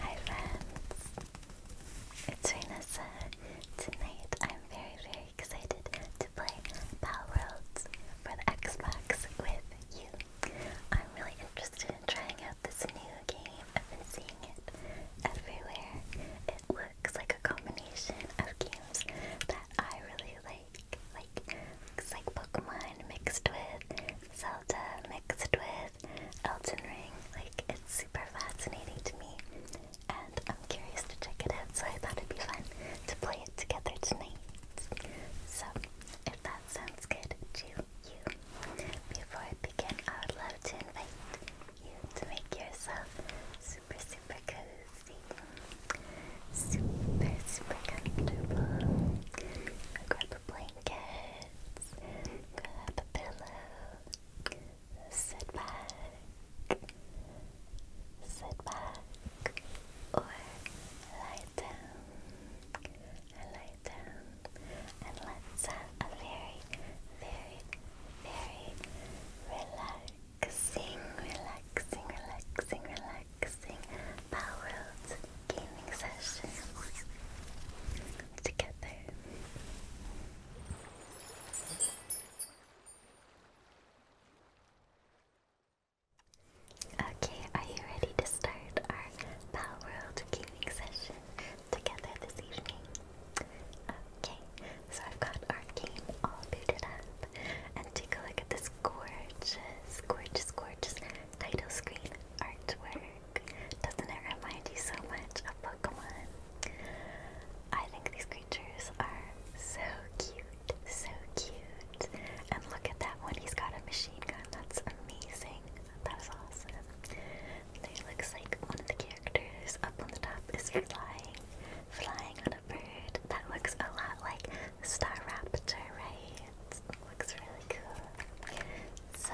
Hi friends, it's Renessa. Tonight I'm very very excited to play Pal Worlds for the Xbox with you. I'm really interested in trying out this new game. I've been seeing it everywhere. It looks like a combination of games that I really like. Like looks like Pokemon mixed with Zelda mixed with Elton Ring. Like, it's super fascinating to me, and I'm curious to check it out, so I thought it'd be fun to play it together tonight. So, if that sounds good to you, before I begin, I would love to invite you to make yourself super, super cozy, super, super comfortable. Grab blankets, grab a pillow, sit back, sit back, or lie down, lie down, and let's have a very, very, very relaxing, relaxing, relaxing, relaxing relaxing gaming session together. Okay, are you ready to start our Palworld gaming session together this evening? Okay, so I've got our game all booted up, and take a look at this gorgeous, gorgeous, gorgeous title screen artwork. Doesn't it remind you so much of Pokemon? I think these creatures are so cute, so cute. And look at that one, he's got a machine gun. That's amazing. That awesome. There looks like one of the characters up on the top is flying, flying on a bird. That looks a lot like Star right? It looks really cool. So,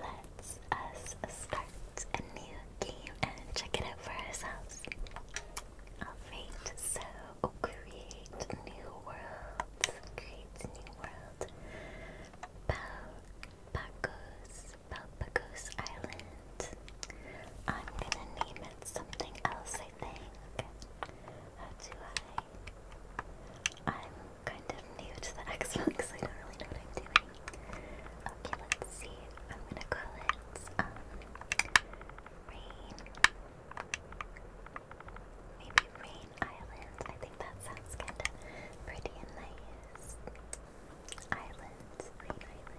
let's us start a new game and check it out for ourselves. Oh, create new world. Create new world. Palpagos. Palpagos Island. I'm gonna name it something else, I think. How do I I'm kind of new to the Xbox, so I don't really know what I'm doing. Okay, let's see. I'm gonna call it um Rain. Maybe Rain Island. I think that sounds kinda pretty and nice. Island, Rain Island.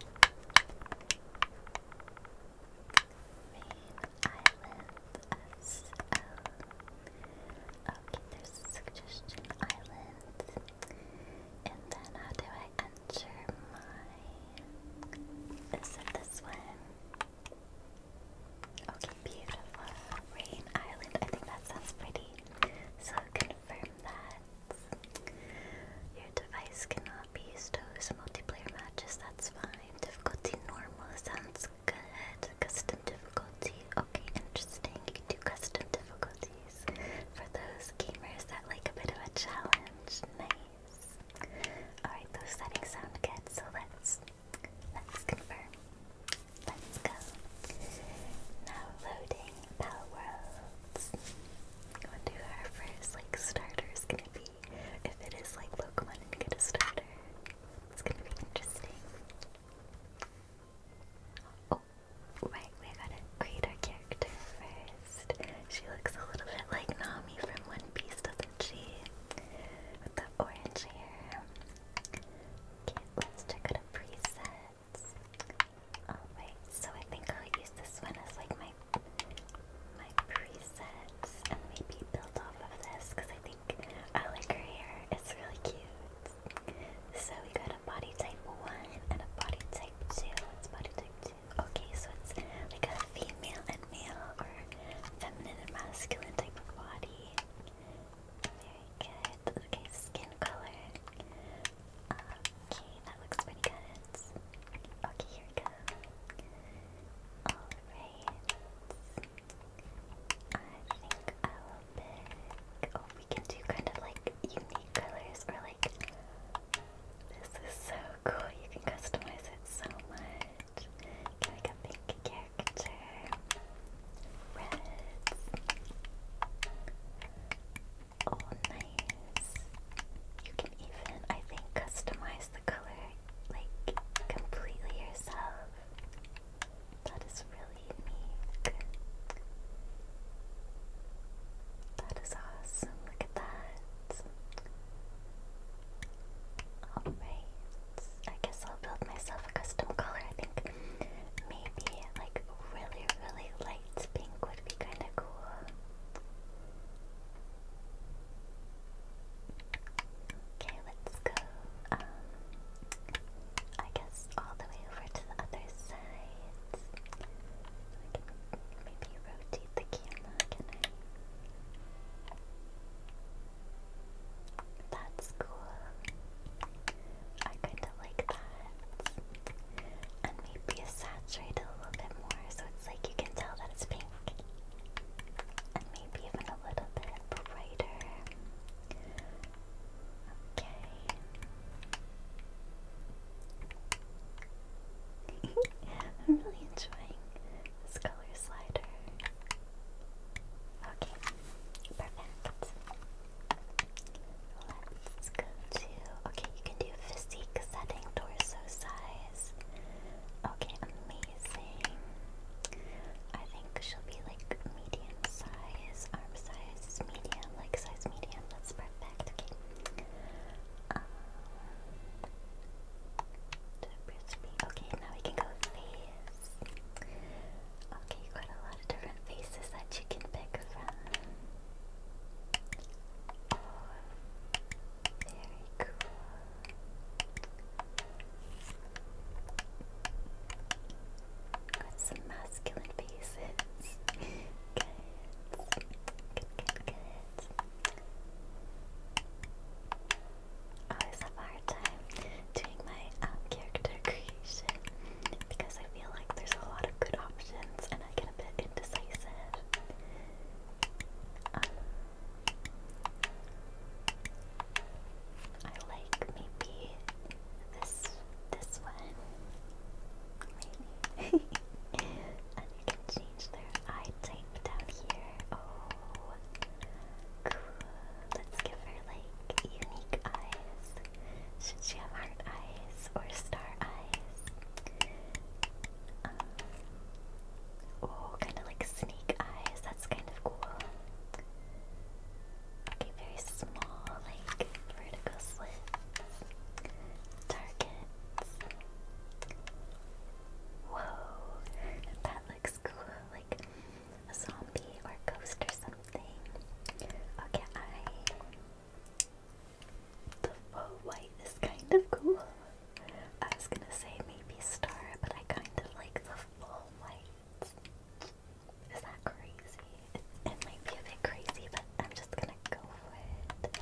Okay, there's suggestion island. And then how do I enter my... Is it this one? Okay, beautiful. Rain Island. I think that sounds pretty. So confirm that. Your device cannot be used to multiplayer matches, that's fine. Difficulty normal sounds good custom difficulty. Okay, interesting. You can do custom difficulties for those gamers that like a bit of a challenge. Nice. Alright, those settings sound good, so let's let's confirm. Let's go. Now loading Pal Worlds. I wonder our first like starter is gonna be. If it is like Pokemon and get starter. It's gonna be interesting. Oh, right, we gotta create our character first. She looks a little bit like Nami from One Piece, doesn't she? With the orange hair. Okay, let's check out the presets. Alright, so I think I'll use this one as like my my presets and maybe build off of this because I think I like her hair. It's really cute. So we got a body type one and a body type two. It's body type two. Okay, so it's like a female and male or feminine and masculine type of body. Very good. Okay, skin color. Okay, that looks pretty good. Okay, here we Alright. I think I will pick. Oh, we can do kind of like unique colors, or like this is so cool. You can customize it so much. Can like a pink character, reds. Oh, nice. You can even, I think, customize the color like completely yourself. That is really unique. That is awesome. Look at that. Alright. I guess I'll build myself a custom color. I think maybe like really, really light pink would be kind of cool. Okay, let's go. Um, I guess all the way over to the other side. maybe rotate the camera, can I? That's cool. I kinda like that. And maybe saturate a little bit more so it's like you can tell that it's pink and maybe even a little bit brighter. Okay. I'm really enjoying this color slider. Okay, perfect. Let's go to. Okay, you can do physique setting, torso size. Okay, amazing. I think she'll be like medium size, arm size medium, like size medium. That's perfect. Okay. Um, okay, now we can go face. Okay, you a lot of different faces that you can pick from. very cool. Got some masculine faces. Good. Good, good, always have a hard time doing my um, character creation because I feel like there's a lot of good options and I get a bit indecisive. Um, I like maybe this this one. and you can change their eye type down here. Oh cool. Let's give her like unique eyes. Should she have heart eyes or star eyes? Um, oh, kind of like snake eyes. That's kind of cool. Okay, very small, like vertical slits. Targets. Whoa, that looks cool, like a zombie or ghost or something. Okay, The full white is kind of cool. I was gonna say maybe star, but I kind of like the full white. Is that crazy? It, might be a bit crazy, but I'm just gonna go for it.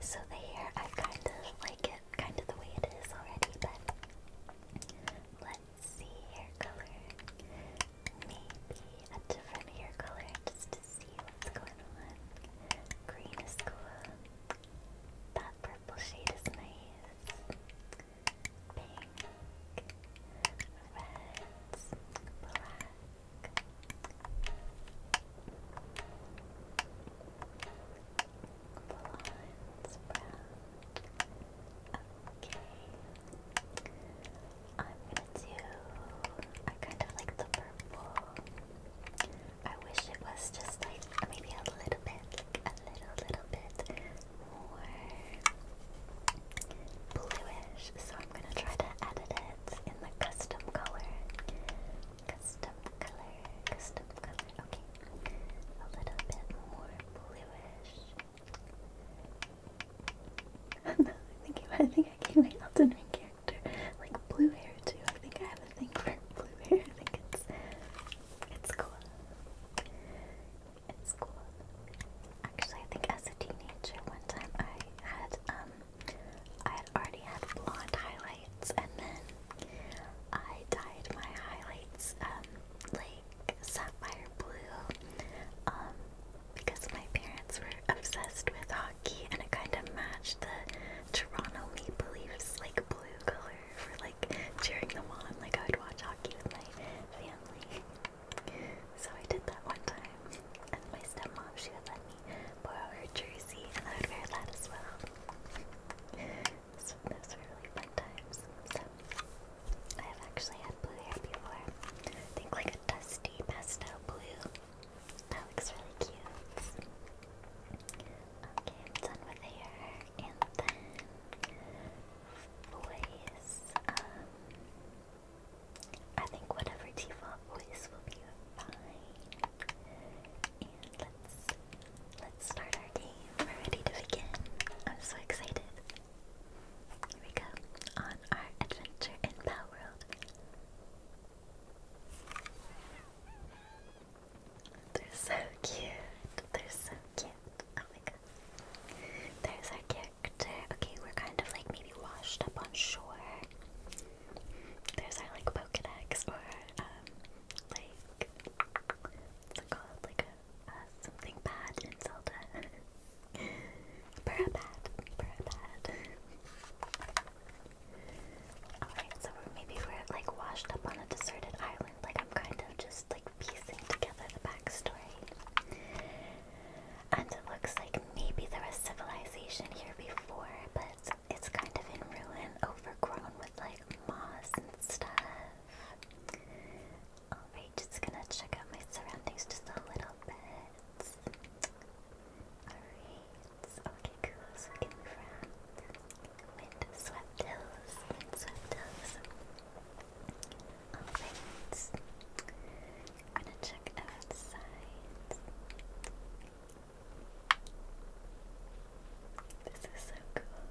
So the hair, I kind of like it, kind of the way it is already, but let's see hair color. Maybe a different hair color just to see what's going on. Green is cool. That purple shade is nice pink, reds, black. Blondes, brown. Okay. I'm gonna do. I kind of like the purple. I wish it was just like maybe a little bit, a little, little bit more bluish, so I'm gonna try to edit it in the custom color. Custom color, custom color, okay. A little bit more bluish. no, I think I think I gave my Elden Ring character like blue hair too. I think I have a thing for blue hair. I think it's it's cool. It's cool. Actually, I think as a teenager, one time I had um, I had already had blonde highlights, and then I dyed my highlights um like sapphire blue, um, because my parents were obsessed with hockey, and it kind of matched the Toronto Maple Leafs like blue color for like cheering them on. Like I would watch hockey with my family. So I did that one time. And my stepmom, she would let me borrow her jersey and I would wear that as well. So those were really fun times. So I have actually had blue hair before. I think like a dusty pastel blue. That looks really cute. Okay, i done with hair. And then voice. Um, I think whatever default voice will be fine. And let's let's start our game. We're ready to begin. I'm so excited. Here we go on our adventure in Pow World. They're so cute. They're so cute. Oh my god. There's our character. Okay, we're kind of like maybe washed up on shore. There's our like Pokedex or um like what's it called? Like a, something bad in Zelda. Burrapad. Burrapad. Alright, so maybe we're like washed up on a deserted like, I'm kind of just like piecing together the backstory. And it looks like maybe there was civilization here before, but it's kind of in ruin, overgrown with like moss and stuff. Alright, just gonna check out my surroundings just a little bit. Alright, okay, cool. So we can move around. I'm gonna check outside. This is so cool.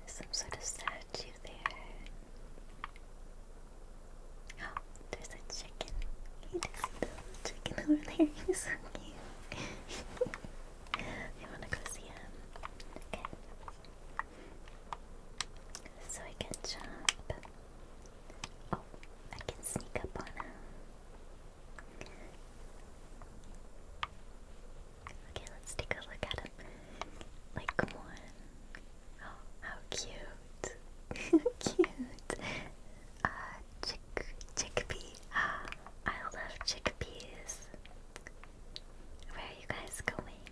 There's some sort of statue there. Oh, there's a chicken. You can little chicken over there. He's so cute. I want to go see him. Okay, so I can jump. Oh, I can sneak up on him. Okay, let's take a look at him. Like, come Oh, how cute. cute. Uh, chick chickpea. I love chickpeas. Where are you guys going?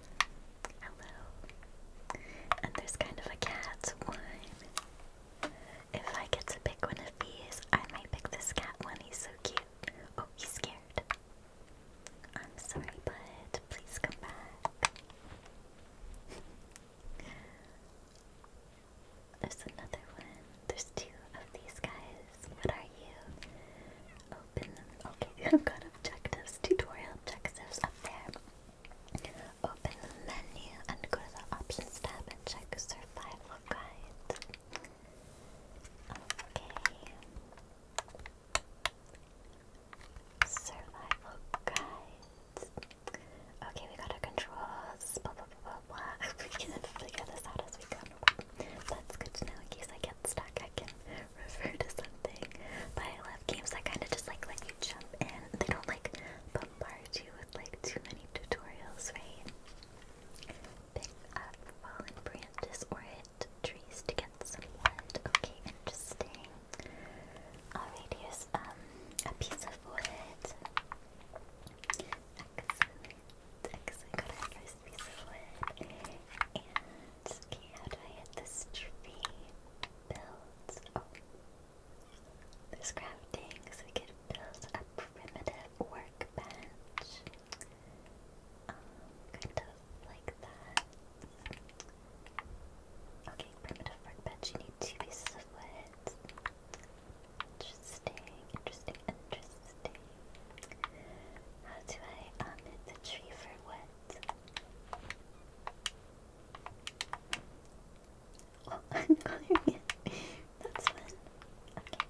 Hello. And there's kind of a cat one. If I get to pick one of these, I might pick this cat one. He's so cute. Oh, he's scared. I'm sorry, bud. Please come back. There's another one. There's two of these guys. What are you? Open Okay, I've got objectives, tutorial objectives up there. Open the menu and go to the options tab and check survival guide. Okay. Survival guide. Okay, we got our controls. Blah blah blah blah blah. we can figure this out as we go. That's good to know in case I get stuck. I can refer to something. But I love games that kind of just like let you jump in. They don't like bombard you with like too many tutorials, right? Pick up fallen branches or hit trees to get some wood. Okay, interesting. Alright, um a piece of wood. Excellent. Excellent. Got our piece of wood. Ski, how do I hit this tree? Builds. Oh. There's crafting, we could build a primitive workbench. Um, kind of like that. Okay, primitive workbench, you need two pieces of wood. Interesting, interesting, interesting. How do I omit the tree for what? Oh, I'm coloring That's fun. Okay.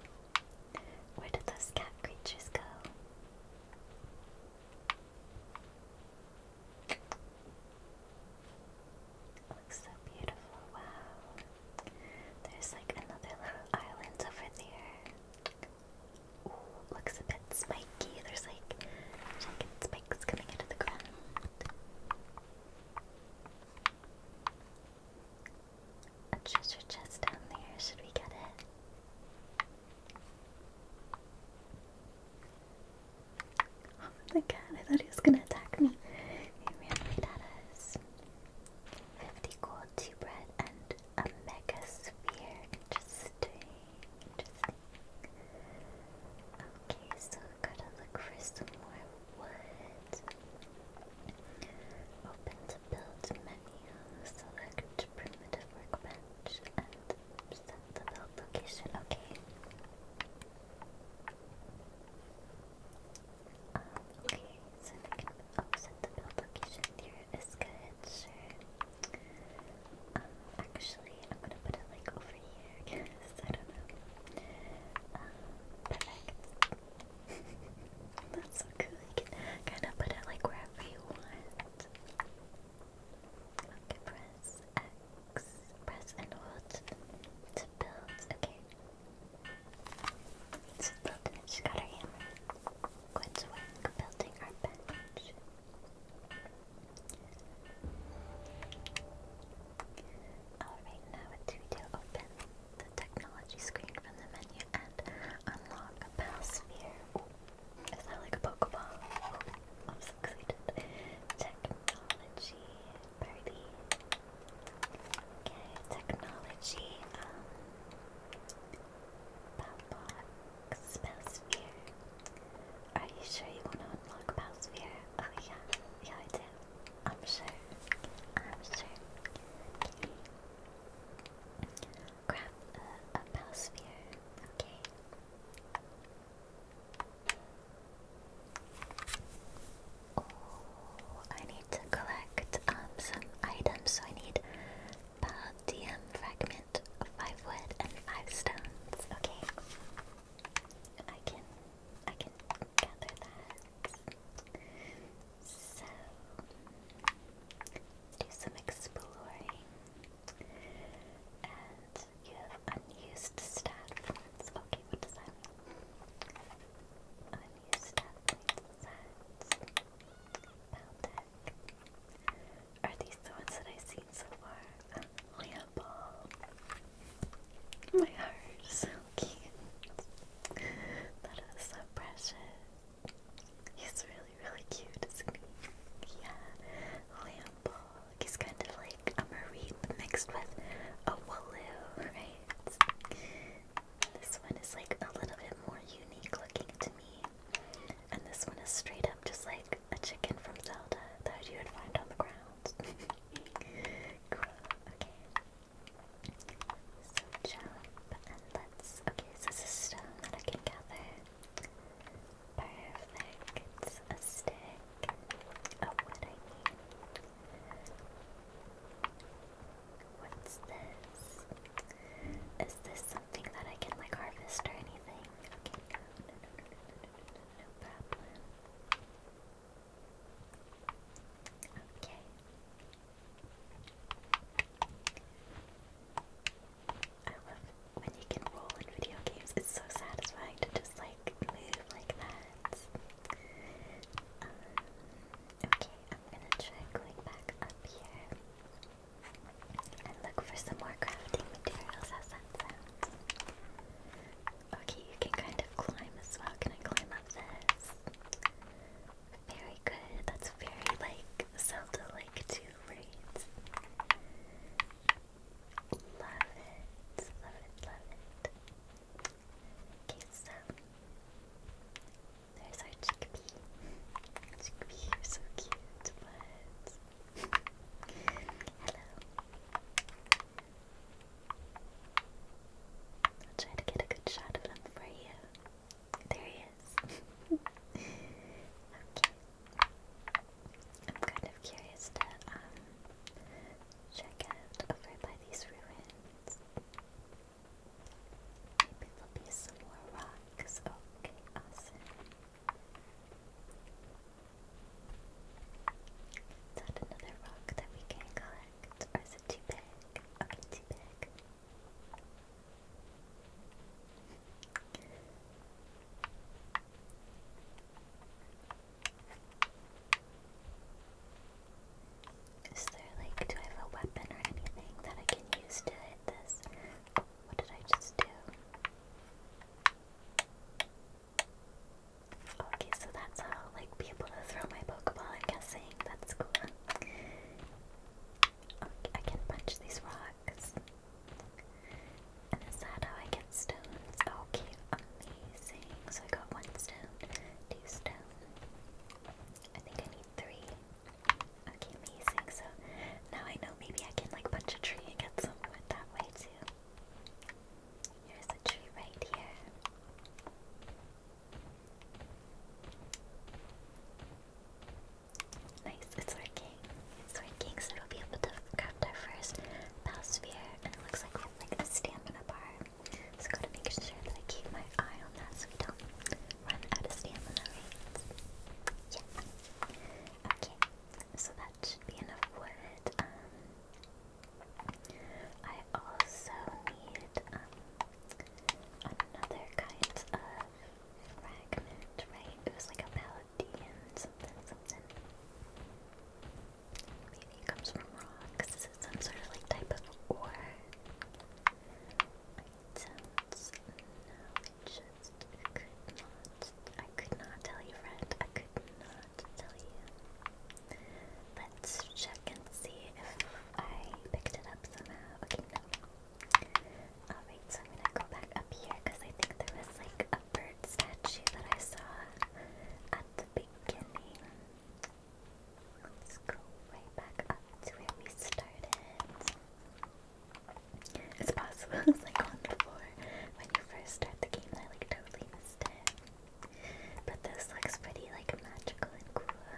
Where did those cat creatures go? It looks so beautiful. Wow. There's like another little island over there. Ooh, looks a bit spiky. There's like jagged spikes coming out of the ground. A treasure chest down there. Should we get it? Oh my god, I thought he was gonna attack me. He ran right at us. 50 gold, 2 bread, and a mega sphere. Interesting. Interesting. Okay, so gotta look for some more wood. Open to build menu, select primitive workbench, and set the build location. Okay. okay, so Oh, the build location here is good, Um, actually, I'm gonna put it like over here, because um, perfect. That's so cool, you can kind of put it like wherever you want. Okay, press X, press and hold to build, okay. she got her hammer. Quinzwick building our bench. Alright, now what do we Open the technology screen from the menu and unlock a Palsphere. is that like a Pokeball? I'm so excited. Technology, party. Okay, technology, um, Palpot, Spellsphere. Are you sure you want to unlock Spellsphere? Oh yeah, yeah I do. I'm sure. I'm sure. Grab a, a Spellsphere. Okay. Oh, I need to collect um some items. So I need Paldium fragment of five wood and five stones. Okay. I can I can gather that. So do some exploring. And you have unused stat points. Okay, what does that mean? Unused stat points. That's Paldeck. Are these the ones that I've seen so far? Lamball. My heart cute. That is so precious. He's really, really cute, isn't he? Yeah. Lamball. He's kind of like a Mareep mixed with a Wooloo, right? This one is like a little bit more unique looking to me. And this one is straight up just like a chicken from Zelda that you would find on the ground. okay. So let's. Okay, this is stone that I can gather. Perfect. It's a stick. Oh, what I need. What's this? Is this something that I can like harvest or anything. Okay, Okay. I love when you can roll in video games. It's so satisfying to just like move like that. okay, I'm gonna try back up here and look for some more crafting materials. How's that sound? Okay, you can kind of climb as well. Can I climb up this? Very good. That's very like Zelda like too, right? Love it. Love it, love it. Okay, so there's our chickpea. Chickpea, you're so cute. Hello. i to get a good shot of him for you. There he is. okay. I'm kind of curious to um check out over by these ruins. Maybe there'll be some more rock Alex. Okay, Is that another rock that we can collect? Or is it too big? Okay, too big. Is there like, do I have a weapon or anything that I can use to hit this? What did I just do? Okay, so that's how like be throw my Pokeball. I'm guessing that's cool. Okay, I can punch these rocks. And is that how I get stones? Okay, amazing. So I got one stone, two stone. I think I need three. Okay, amazing. So now I know maybe I can like punch a tree and get some wood that way too. Here's a tree right here. Nice, it's working. It's working, so we'll be able to craft our first bow sphere. And it looks like we have like a stamina bar. So gotta make sure that I keep my eye on that so run out of stamina, Yeah. Okay, so that should be enough wood. Um, I also need um, another kind of fragment, right? It was like a paladin, something, something. Maybe it comes from rocks. Is it some sort of like type of ore? sounds. just could not. I could not tell you, friend. I could not tell you. Let's check and see if I picked it up somehow. Okay, Alright, so I'm gonna go back up here because I think there was like a bird statue that I saw at the beginning. Let's go right back up to where we started. It's possible it like on the floor when you first start the game I like totally missed it. But this looks pretty like magical and cool.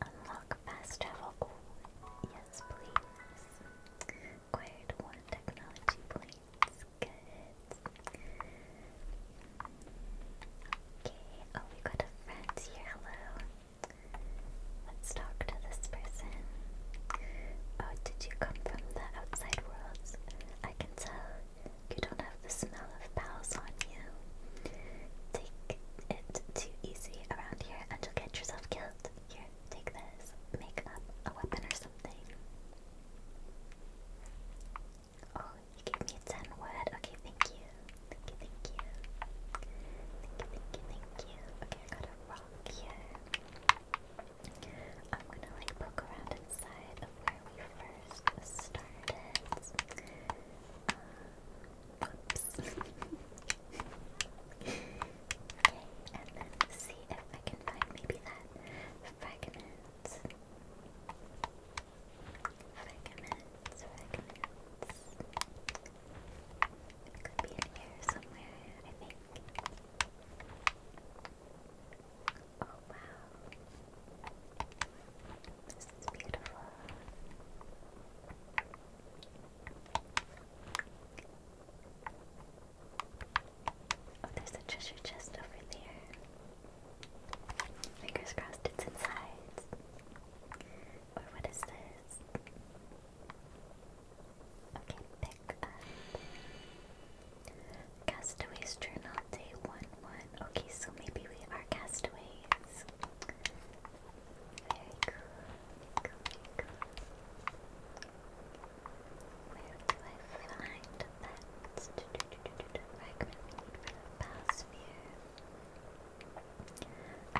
Unlock fast travel. yes, please. Acquired one technology points. Good. Okay. Oh, we got a friend here. Hello. Let's talk to this person. Oh, did you come from the outside worlds? I can tell you don't have the smell of pals on you. Take it too easy around here and you'll get yourself killed. Here, take this. Make up a weapon or something. Oh, you gave me 10 wood. Okay, thank you. Thank you, thank you. Thank you, thank you, thank you. Okay, I got a rock here. I'm gonna like poke around inside of where we first started. oops. okay, can find maybe that fragment. Fragments, fragments. It could be in here somewhere, I think. Oh wow. This is beautiful. Oh, there's a treasure chest over there. Fingers crossed it's inside. Or what is this? Okay, pick up. Castaways Journal, day 1 1. Okay, so maybe we are castaways. Very cool. Where do I find that? Fragment we need for the past sphere.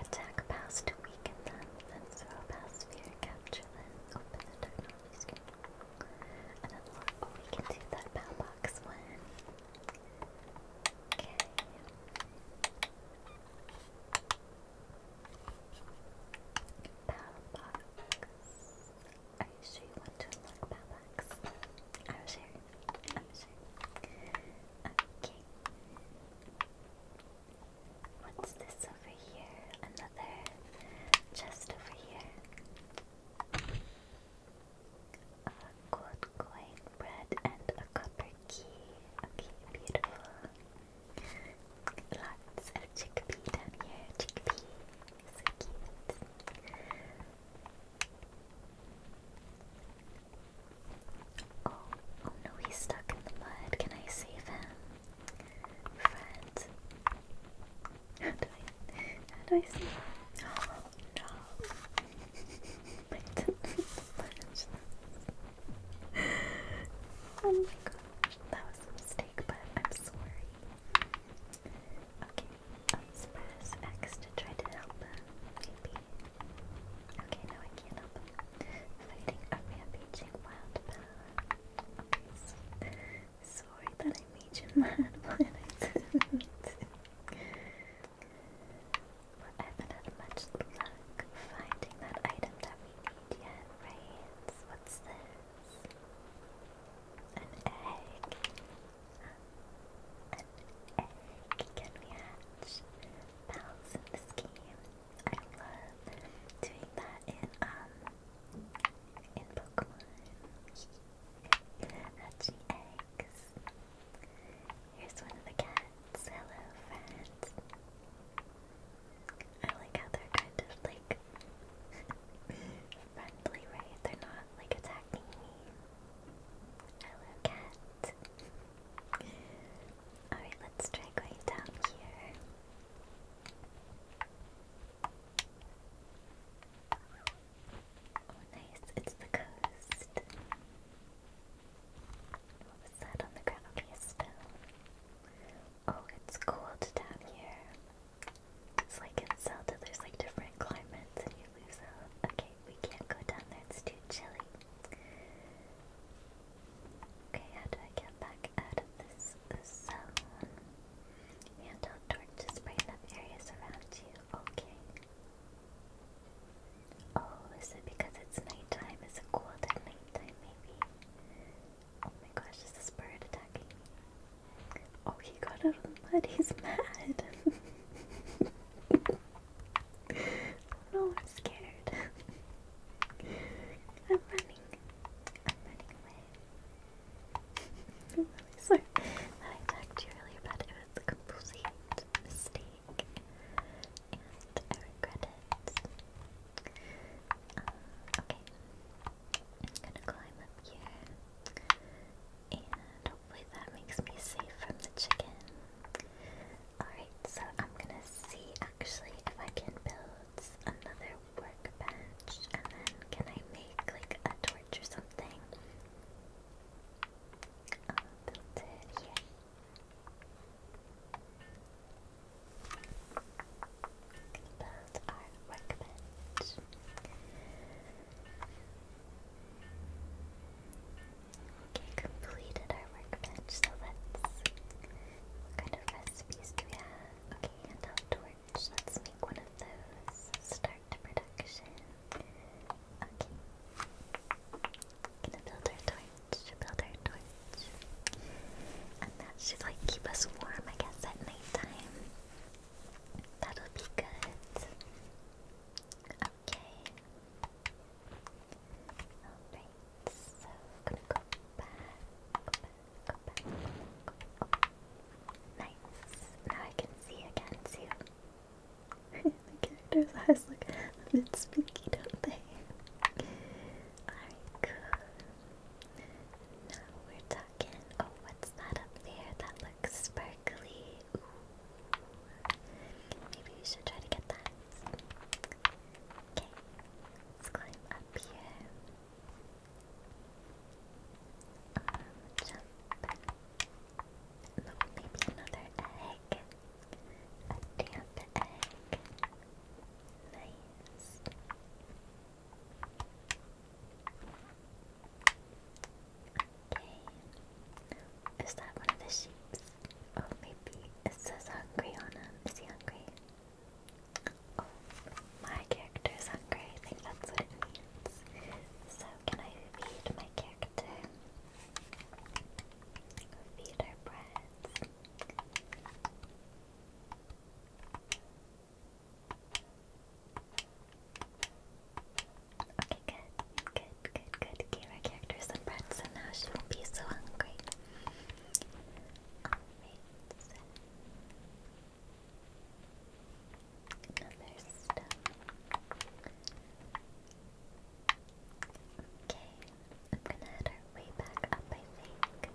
Attack pass to weaken them, then throw pass sphere, capture them, open the technology screen. And then we can do that pow box one. Okay. Pow box. Are you sure you want to unlock pow box? I'm sure. I'm sure. Okay. What's this over here? Another chest over here. A gold coin, bread, and a copper key. Okay, beautiful. Lots of chickpea down here. Chickpea. So cute. Oh, oh, no, he's stuck in the mud. Can I save him? Friend. How I save him? Oh no. I Oh my gosh. That was a mistake, but I'm sorry. Okay, let's press X to try to help him. Maybe. Okay, now I can't help Fighting a rampaging wild power. sorry that I made you mad when I I haven't had much luck finding that item that we need yet, right? What's this? An egg. An egg can we hatch? Bells in this game I love doing that in um in Pokemon. Hatching eggs. Here's one of the cats. Hello, friends. I like how they're kind of like friendly, right? They're not like attacking me. Hello, cat. Alright, let's try going down here. Oh, nice, it's the coast. What was that on the ground? Okay, a stone. Oh, it's cold down here. It's like in Zelda, there's like different climates and you lose out. Okay, we can't go down there, it's too chilly. Okay, how do I get back out of this zone? Hand out torches, brighten up areas around you. Okay. Oh, is it because it's nighttime? Is it cold at nighttime, maybe? Oh my gosh, is this bird attacking me? Oh, he got out of the mud. He's mad. no, I'm scared. I'm running. I'm running away. I'm really sorry I attacked you earlier, but it was a complete mistake. And I regret it. Uh, okay. I'm gonna climb up here. And hopefully that makes me safe from the chicken. Alright, so I'm gonna see actually if I can build another workbench and then can I make like a torch or something? build it here. Build our workbench. Okay, completed our workbench, so let's... What kind of recipes do we have? Okay, hand torch. Let's make one of those. Start production. Okay. Gonna build our torch. Build our torch. And that should like keep us warm, I guess, at nighttime. That'll be good. Okay. Alright, so i gonna go back, go back, go back. Go back. Nice. Now I can see again too. the character's eyes look a bit spooky, don't they? Alright, Now we're talking. Oh, what's that up there? That looks sparkly. Ooh. Maybe we should try to get that. Okay, let's climb up here. Um, jump. maybe another egg. A damp egg. Nice. Okay. Is that one of the sheep? Oh, maybe it says hungry on him. Is he hungry? my character is hungry. think that's what it means. So, can I feed my character? Feed her bread. Okay, good, good, good, good. Gave our character some bread, so now she won't be so hungry. Amazing. Another stone. Okay, I'm gonna head our way back up, I think.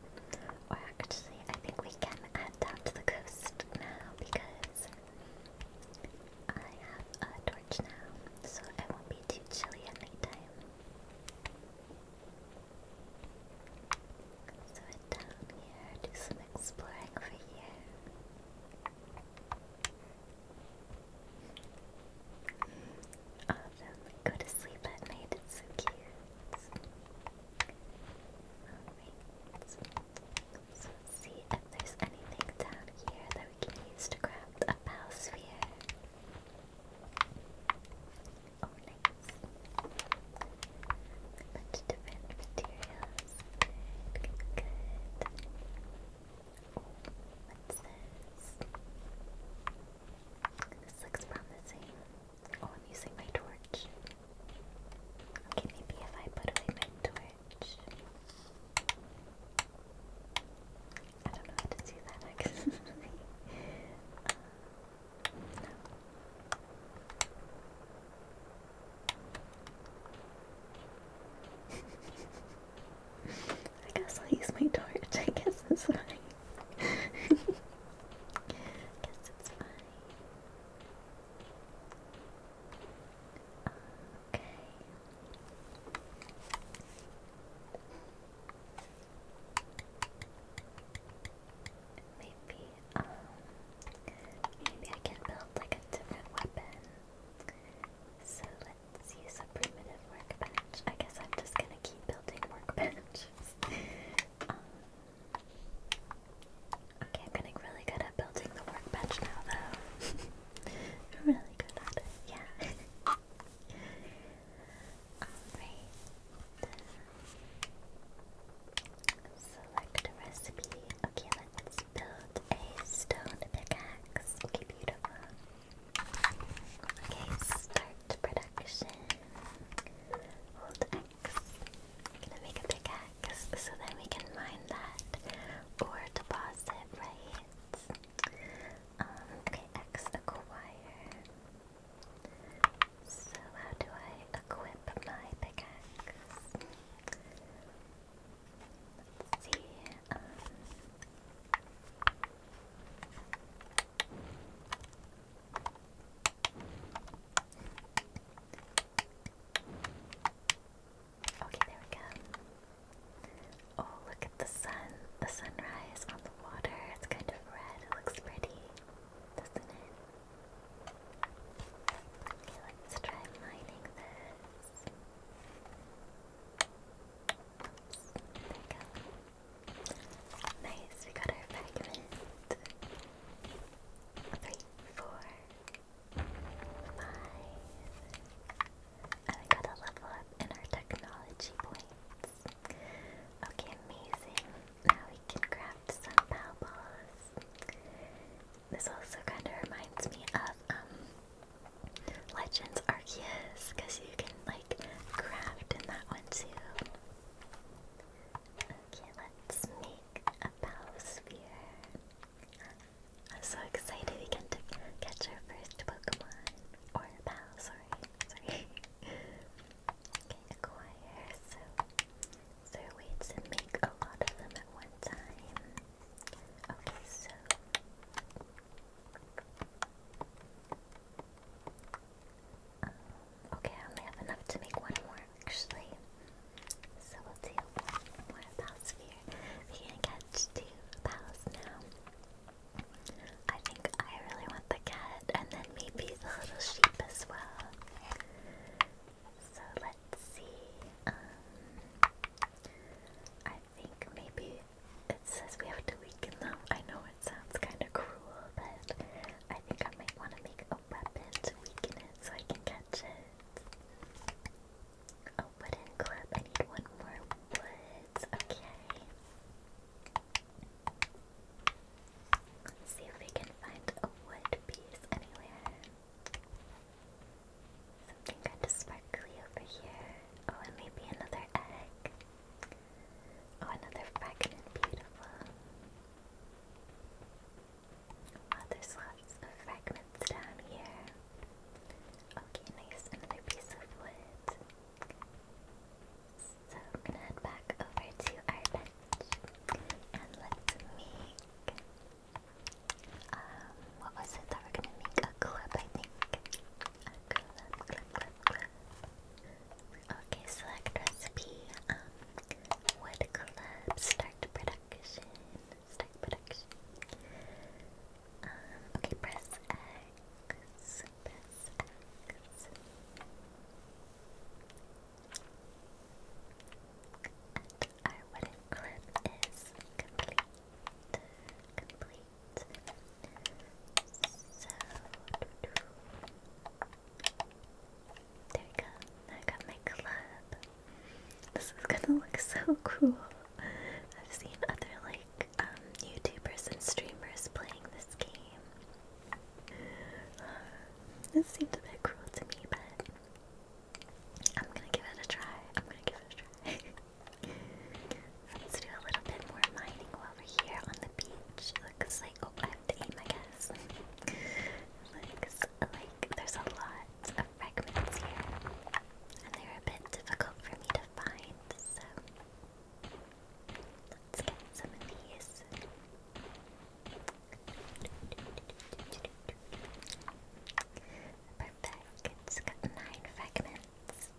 Or actually, I think we can head down to the coast now because I have a torch now, so it won't be too chilly at nighttime. So we're down here, do some exploring over here. Oh, then go to sleep at night, it's so cute. let's see if there's anything down here that we can use to craft a ball sphere. Oh, nice. Bunch different materials. Good, good, what's this? This looks promising. Oh, I'm using my torch. Okay, maybe if I put away my torch. I don't know how to do that I guess I'll use my torch. I guess it's fine. guess it's fine. Okay. Maybe, um, maybe I can build like a different weapon. So let's use a primitive workbench. I guess I'm just gonna keep building workbenches. Um, okay, I'm getting really good at building the workbench now, though. really good at yeah. Alright. Select recipe. Okay, build a stone pickaxe. Okay, beautiful. Okay, start production. Hold xi I'm gonna make a pickaxe so then we can mine that or deposit, right? Um, okay, X acquire. So, how do I equip my pickaxe? see. Um, okay, there we go. Oh, look at the sun, the sunrise water. It's kind of red. It looks pretty, doesn't it? Okay, let's try mining this. there we go. Nice, we got our fragment. Three, four, five. And we got a level up in our technology points. Okay, amazing. Now we can craft some pow balls. This also kind of reminds me of um, Legends Arceus, you can like craft in that one too. Okay, let's make a pow sphere. I'm so excited we get to catch our first Pokemon. Or a sorry. Sorry. Okay, acquire. So, is there to make a lot of them at one time? Okay, so. okay, I only have enough to make one more actually. So we'll do more pals here. We can catch two pals now. I think I really want the cat and then maybe the little sheep as well. So let's see. Um, I think maybe it says we have to weaken them. I know it sounds kind of cruel, but I think might want to make a weapon to weaken it so I can catch it. A wooden club. I need one more woods. Okay see if we can find a wood piece anywhere. Something kind of sparkly over here. Oh, and maybe another egg. Oh, another fragment. Beautiful. Oh, there's lots of fragments down here. Okay, nice. Another piece of wood. So we're gonna head back over to our bench and let's um what was it that we're gonna make? A clip I think. A clip, Okay, select recipe, um wood clip, start production, start production. Um, okay, press X X, press X. And our complete. So there we go. I got my club. This is gonna look so cool. I've seen other like um, YouTubers and streamers playing this game. This seems a bit cruel to me, but I'm gonna give it a try. I'm gonna give it a try. Let's do a little bit more mining while here on the beach. Looks like oh, I have to aim, I guess. Looks like there's a lot of fragments here, and they're a bit difficult for me to find. So Let's get some of these. Perfect. It's got nine fragments.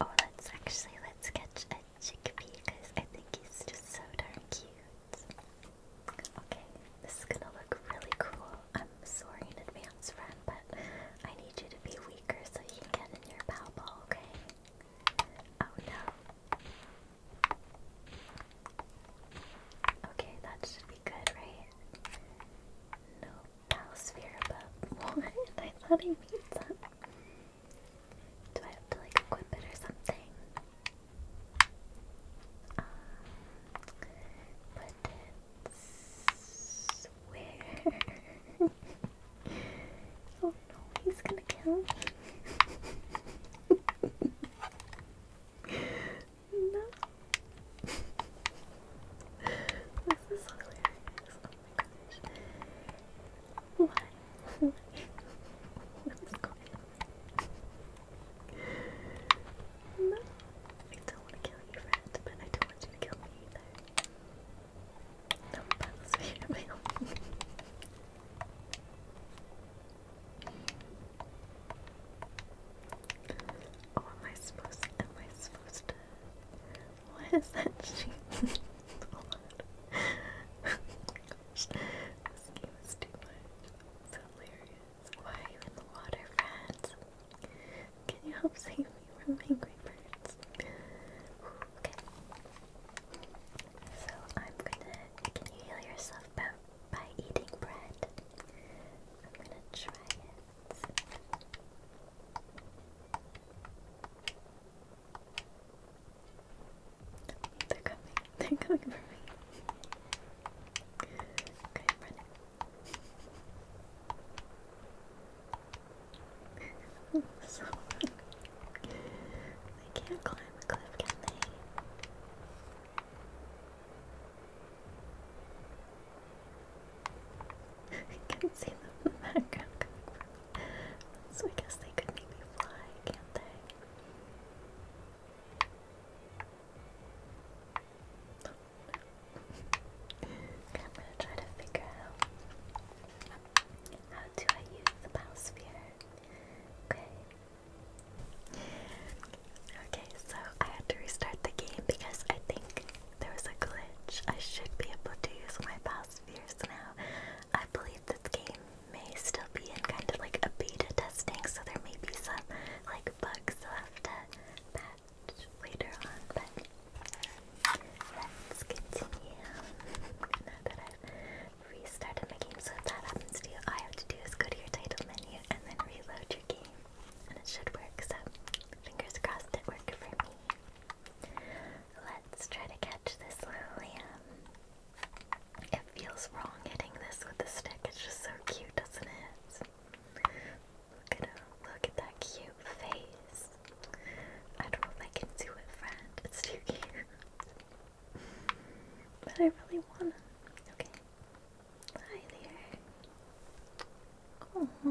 oh, let's actually let's catch a chickpea because I think he's just so darn cute. Okay, this is gonna look really cool. I'm sorry in advance, friend, but I need you to be weaker so you can get in your pow ball, okay? Oh no. Okay, that should be good, right? No Palsphere above. What? I thought I made that. Do I have to like equip it or something? Um, put oh no, he's gonna kill me. no. This is hilarious. Oh my gosh. What? what is going on? No. I don't want to kill you, friend, but I don't want you to kill me either. Non oh, am I supposed? am I supposed to? What is that? too much. Why are you in the water, friends? Can you help save me from angry birds? Okay. So I'm gonna. Can you heal yourself by, by eating bread? I'm gonna try it. They're coming. They're coming for me. okay, i so they can't climb the cliff, can they? I can see them in the background So I guess they could maybe fly, can't they? I'm gonna try to figure out how do I use the biosphere? Okay. Okay, so I had to restart the game because I think there was a glitch. I should be able to use my biospheres now. I believe this game may still be in kind of like a beta testing, so there may be some like bugs left to patch later on, Let's continue. now that I've restarted my game, so if that happens to you, all I have to do is go to your title menu and then reload your game. And it should work, so fingers crossed it worked for me. Let's try to catch this little lamb. It feels wrong hitting this with the stick, it's just so cute, doesn't it? Look at him, look at that cute face. I don't know if I can do it, friend. It's too cute. but I really wanna. Okay. Hi there.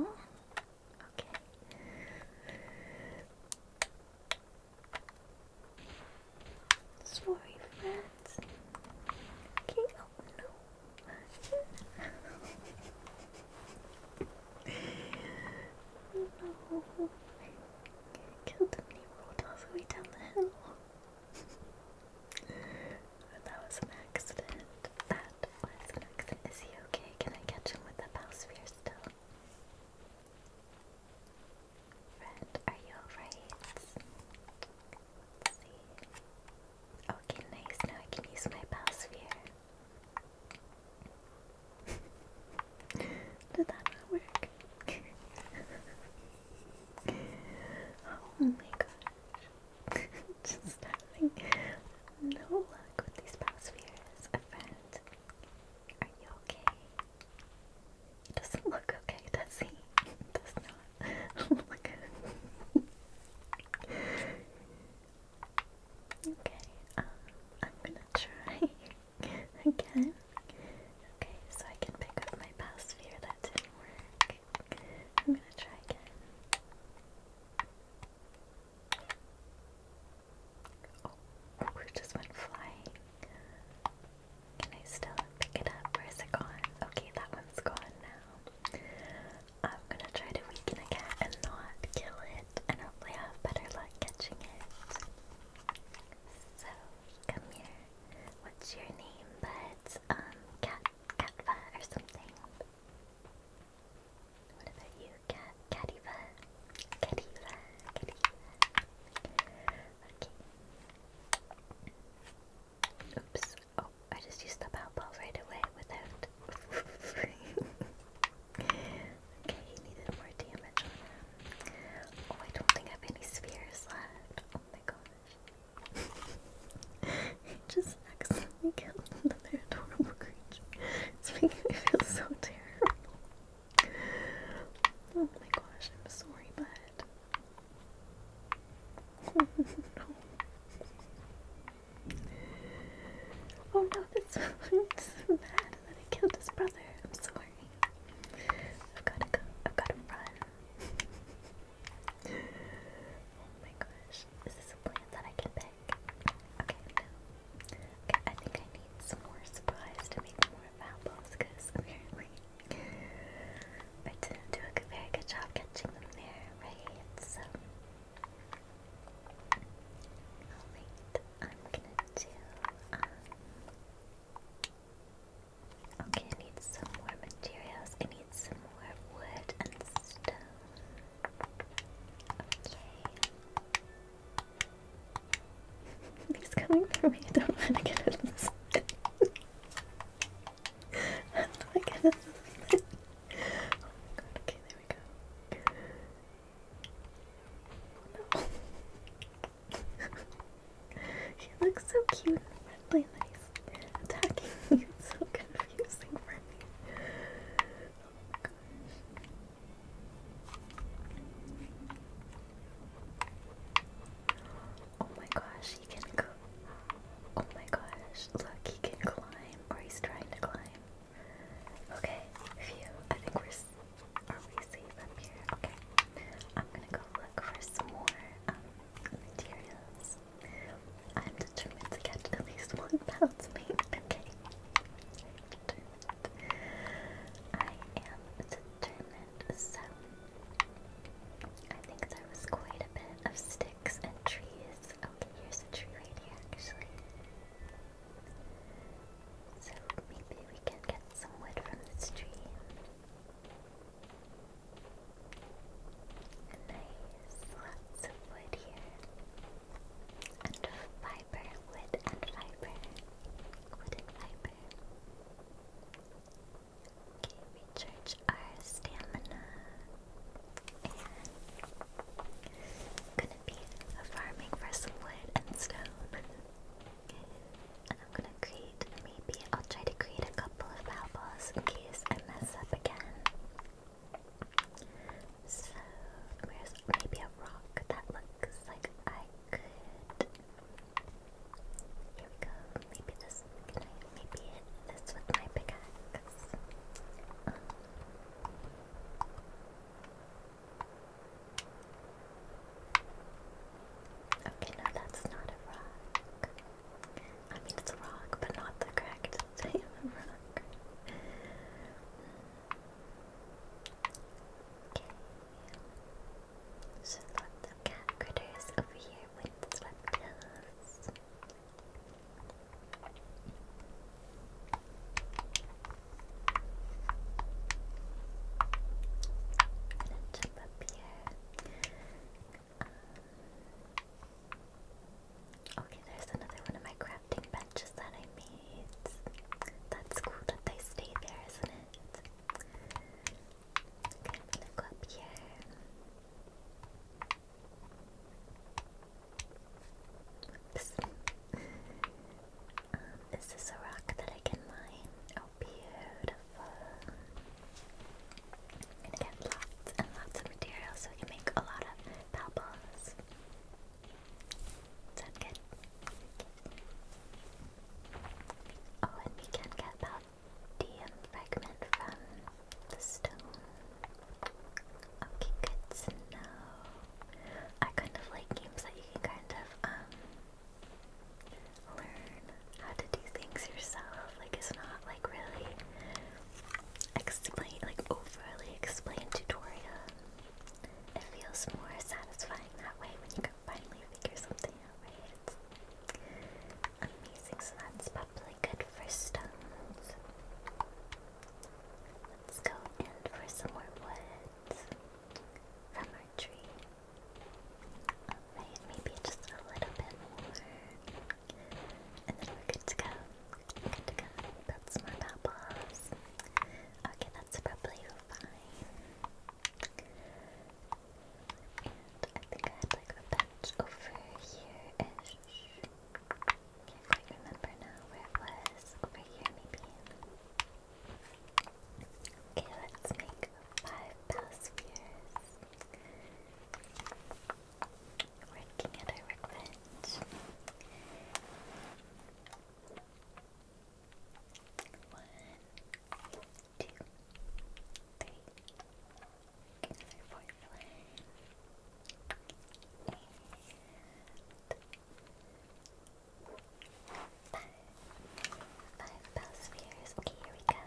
Aww. Okay. Sorry, friends. Okay, oh no. no. killed the mini rolled all down the hill. that was an accident. That was an accident. Is he okay? Can I catch him with the sphere still? Friend, are you alright? Okay, nice. Now I can use my bowsphere. Did that work? oh my gosh. Just having no luck with these past few Are you okay? It doesn't look okay, does he? does not look oh okay. Okay, um, I'm gonna try Again? Okay, so I can pick up my past sphere. That didn't work. I'm gonna try again. Oh, it just went flying. Can I still pick it up? Where's it gone? Okay, that one's gone now. I'm gonna try to weaken a cat and not kill it and hopefully i have better luck catching it. So, come here. What's your name? But, um, Cat, Catva or something. What about you, Cat, Cativa? Cativa, Cativa. Oops. Oh, I just used the pow pow right away without. Okay, he needed more damage Oh, I don't think I have any spheres left. Oh my gosh. he just accidentally killed another adorable creature. It's making me feel so terrible. Oh my gosh, I'm sorry, but. Oh no, so bad that I killed his brother. I'm sorry. I've gotta go. I've gotta run. oh my gosh. Is this a plant that I can pick? Okay, Okay, I think I need some more supplies to make more apples because apparently I didn't do a very good job catching them there, right? So um, okay, I need some more materials. I need some more wood and stone. Okay. He's coming for I don't want to get this. How do I get out of this? oh my god, okay, there we go she looks so cute and friendly nice. Attacking you is so confusing for me. Oh my gosh. Oh my gosh, he can go. Oh my gosh, look, he can climb, or he's trying to climb. Okay, phew, I think we're, are we safe up here? Okay, I'm gonna go look for some more um, materials. I'm determined to catch at least one mate. okay? I am determined, so I think there was quite a bit of sticks and trees. Okay, here's a tree right here, actually. So maybe we can get some wood from this tree. And there's lots of wood here. And fiber, wood and fiber. Wood and fiber. Okay, recharge our stamina. And gonna be farming for some wood and stone. And I'm gonna create, maybe I'll try to create a couple of balls in case I mess up again. So, there's maybe a rock that looks like I could. Here we go. Maybe this. maybe hit this with my pickaxe? Um, Okay, no, that's not a rock. I mean, it's a rock, but not the correct type of rock. Okay. So lots critters over here with swept hills gonna okay, there's another one of my crafting benches that I made. That's cool that they stay there, isn't it? Okay, I'm go up here. This is a rock that I can mine? Oh, beautiful. I'm gonna get lots and lots of materials so we can make a lot of pebbles. Sound good? Oh, and we can get paldium fragment from the stone. Okay, good to I kind of like games that you can kind of, um, learn how to do things yourself. Like it's not like really explain like overly explained tutorial. It feels more satisfying that way when you can finally figure something out, It's amazing, so that's probably good for stones. Let's go in for some more wood summer tree. Alright, maybe just a little bit more. And then we're good to go. Good to go. That's my pebbles. Okay, that's probably fine. And I think I had like a patch over here-ish. Can't quite remember now where it was. Over here, maybe. Okay, let's make five bowspheres. Working at our workbench. One, two, three. Five. Five Bowspheres. Okay, here we go.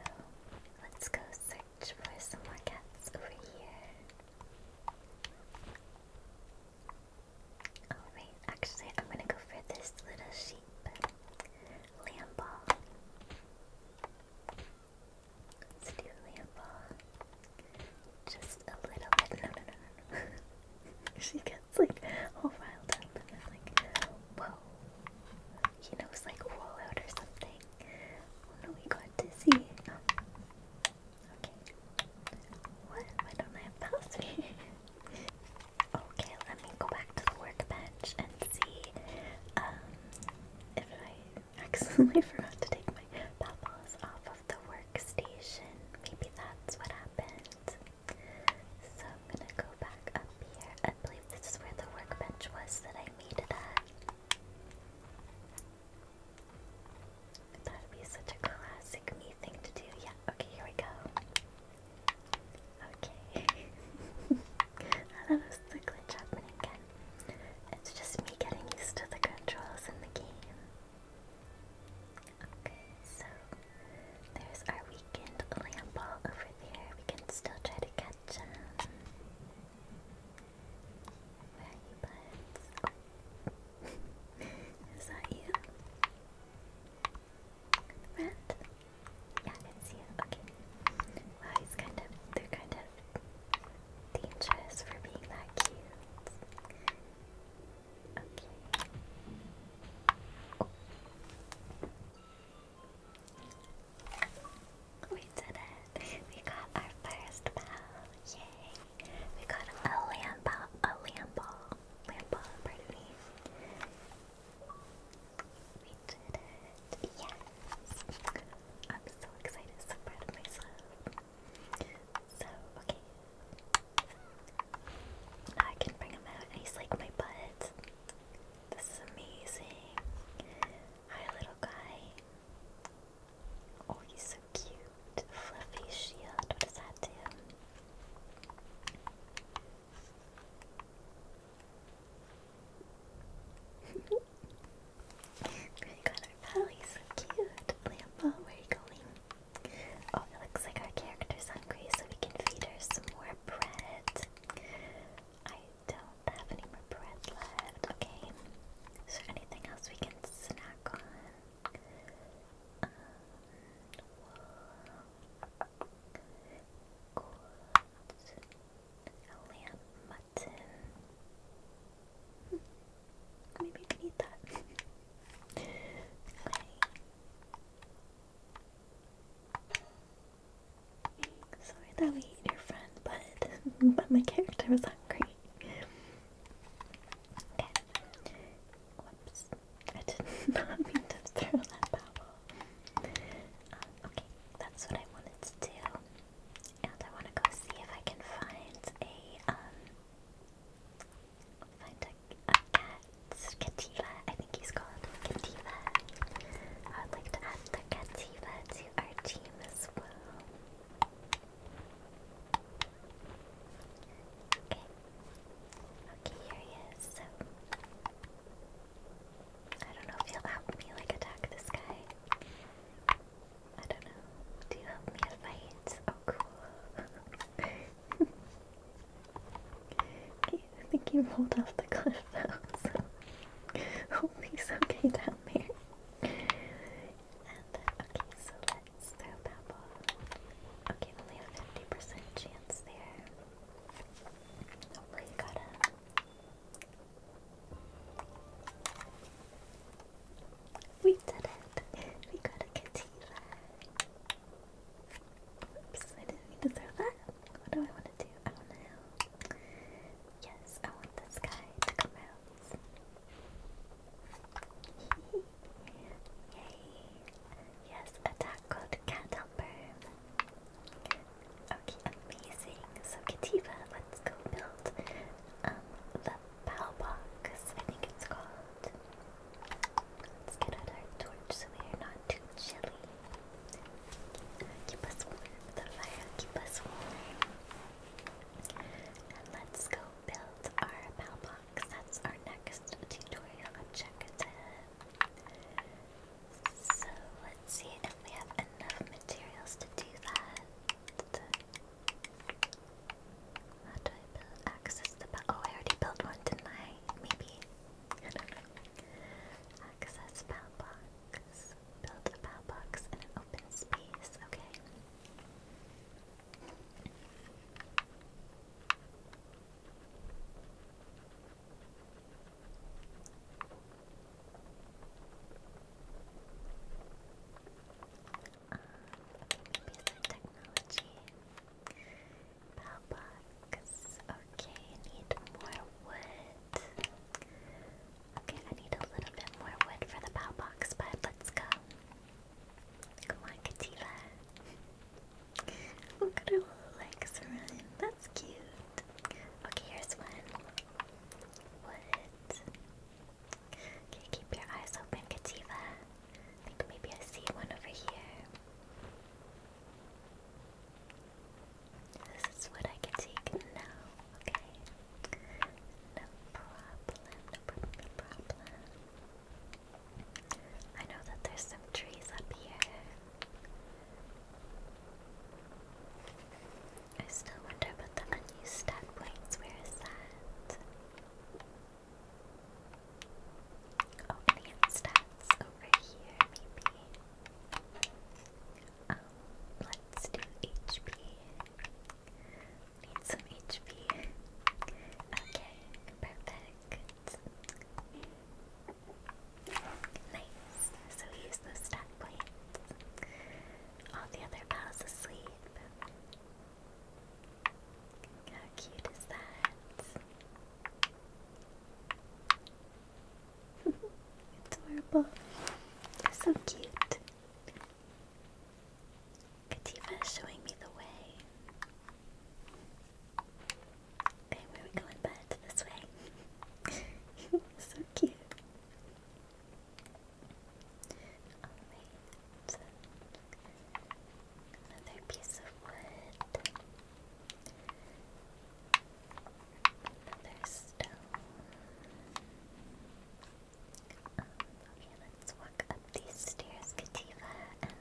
Let's go search for some more cats over here. Alright, actually, I'm gonna go for this little sheep. Lamball. Let's do Lamball. Just a little bit. No, no, no, no. she got it's like all riled up and I'm like, whoa. He knows like rollout or something. Oh no, he got dizzy. Okay. What? Why don't I have password? okay, let me go back to the workbench and see um, if I accidentally forgot to take my papas off of the workstation. Maybe that's what happened. So I'm gonna go back up here. I believe this is where the workbench was that I made it at. That'd be such a classic me thing to do. Yeah, okay, here we go. Okay. that glitch happening again. It's just me getting used to the controls in the game. Okay, so there's our weekend Lamball over there. We can still try to catch him. Where are you, buds? Is that you? Rat? Yeah, it's you. Okay. Wow, he's kind of, they're kind of dangerous for being that cute. We did it! We got our first bell! Yay! We got a lamb ball, a lamb ball, lamb ball, pardon me. We did it! Yes! I'm so excited, so proud of myself. So, okay, I can bring him out and he's like my butt. This is amazing. Hi, little guy. Oh, he's so cute. Fluffy shield. What does that do? we got our belly. So cute. Lambo, where are you going? Oh, it looks like our character's hungry, so we can feed her some more bread. I don't have any more bread left. Okay. Is there anything else we can snack on? Um, wool, lamb mutton. Hmm. Maybe we need that. okay. Sorry that we ate your friend, but but my character was hungry. Okay. Whoops. I did not mean to throw that bottle. Um, okay, that's what I wanted to do. And I want to go see if I can find a um Find a, cat. Cativa, I think he's called Cativa. I would like to add the Cativa team as well. Okay. Okay, here he is. So I don't know if he'll help me like attack this guy. I don't know. Do you help me fight? Oh cool. I think he rolled off the cliff though, so he's okay down there. Uh, okay, so let's throw Pebble. Okay, only a 50% chance there. Hopefully oh, you got him. We did it! We got a cativa! Oops, I didn't mean to throw that. What do I want to do? I want to. Yes, I want this guy to come out. Yay! Yes, attack code cat Okay, amazing. So Kativa, let's go build um the POW box. I think it's called. Let's get our torch so we are not too chilly. Keep us warm. The fire keep us warm. And let's go build our mailbox. That's our next tutorial objective. So let's see if we have enough materials to do that. How do I build access to the Oh, I already built one, didn't I? Maybe. I don't know. Access PAL box. Build a PAL box in an open space. Okay. Um, basic technology. Pillbox. Okay, I need more wood. Okay, I need a little bit more wood for the pow box, but let's go. Come on, Kativa. Look at her little legs run. That's cute. Okay, here's one. Wood. Okay, keep your eyes open, Kativa. I think maybe I see one over here. This is what I can take now, okay? No problem, no problem, problem. I know that there's some trees up here. I still wonder about the unused stat points. Where is that? opening stats over here, maybe. let's do HP. Need some HP. Okay, perfect. Nice. So we use those stat points. All the other pals asleep. How cute is that? Adorable. So cute. Kativa showing me the way. Okay, where we going, bud? This way. so cute. Alright. Another piece of wood. Another stone. okay, let's walk up these stairs, Kativa, and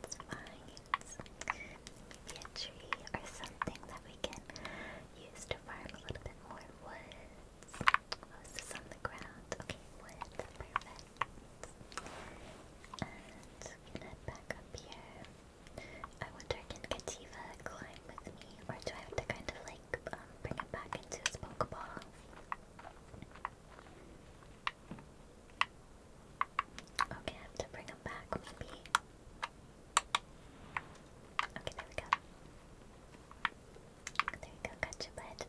let's find a tree or something that we can use to farm a little bit more woods. Oh, is the ground? Okay, wood, perfect. And head back up here. I wonder can Kativa climb with me, or do I have to kind of like um, bring it back into his Pokeball? Okay, I have to bring him back maybe. Okay, there we go. There we go, gotcha bud.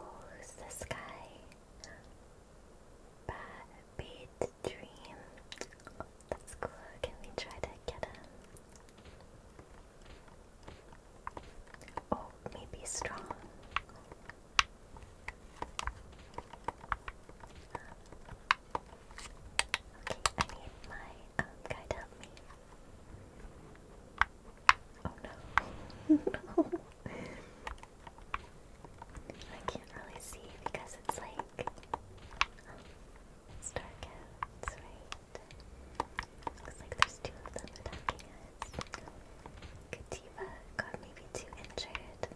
Who's this guy? Bad beat dream. That's cool. Can we try to get him? Oh, maybe strong. Okay, I need my um, guy to help me. Oh no. no. I can't really see because it's like dark um, out, right? Looks like there's two of them attacking us. Kativa got maybe two injured.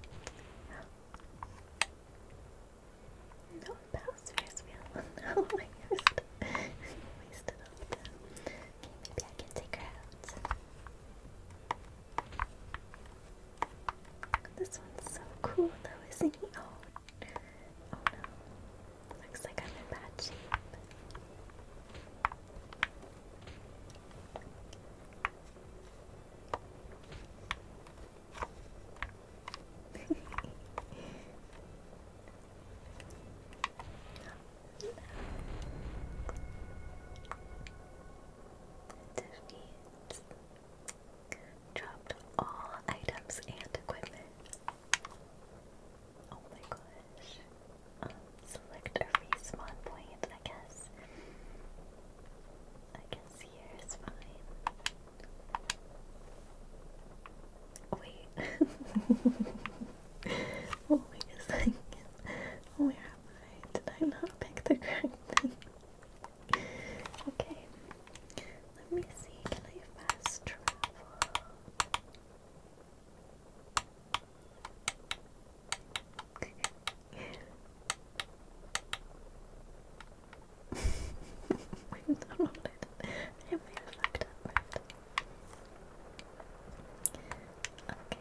No, that wheel. oh my god. Wasted all the time. maybe I can take out. This one's so cool though, isn't he? Oh, oh no. Looks like I'm in bad shape. Defeat. Dropped all items and equipment. Oh my gosh. Um, select a respawn point, I guess. I guess here is fine. Wait. oh wait a second. Where am I? Did I not pick the correct thing? Okay, let me see. fast travel? I'm not on it. I am being fucked up, right? Okay,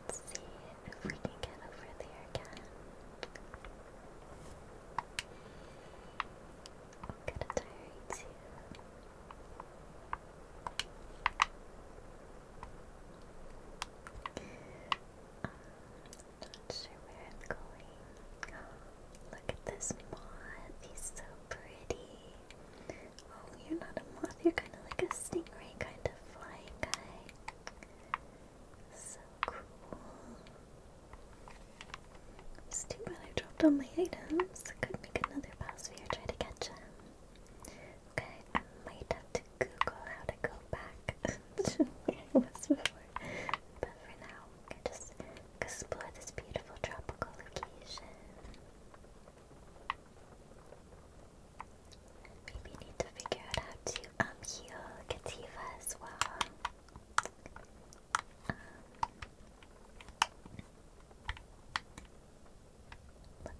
Let's see if we can get over there again. Uh, I'm not sure where I'm going. look at this moth. He's so pretty. Oh, you're not a moth. You're kind of like a stingray kind of flying guy. So cool. too bad I dropped all my items. I could make another pass here, try to catch him. Okay, I might have to Google how to go back to before. But for now, I can just explore this beautiful tropical location. Maybe need to figure out how to um, heal Kativa as well. Um,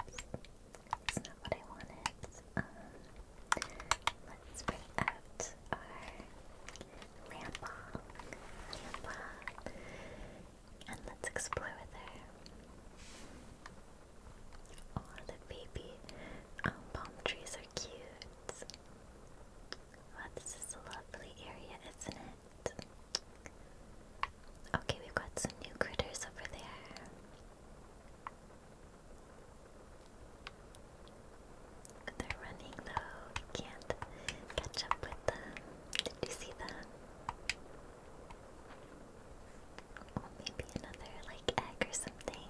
that's not what I wanted. Um, let's bring out our Lampong. Lampong. And let's explore with Oh, the baby um, palm trees are cute. Wow, this is a lovely area, isn't it? Okay, we've got some new critters over there. They're running though, can't catch up with them. Did you see them? maybe another like egg or something.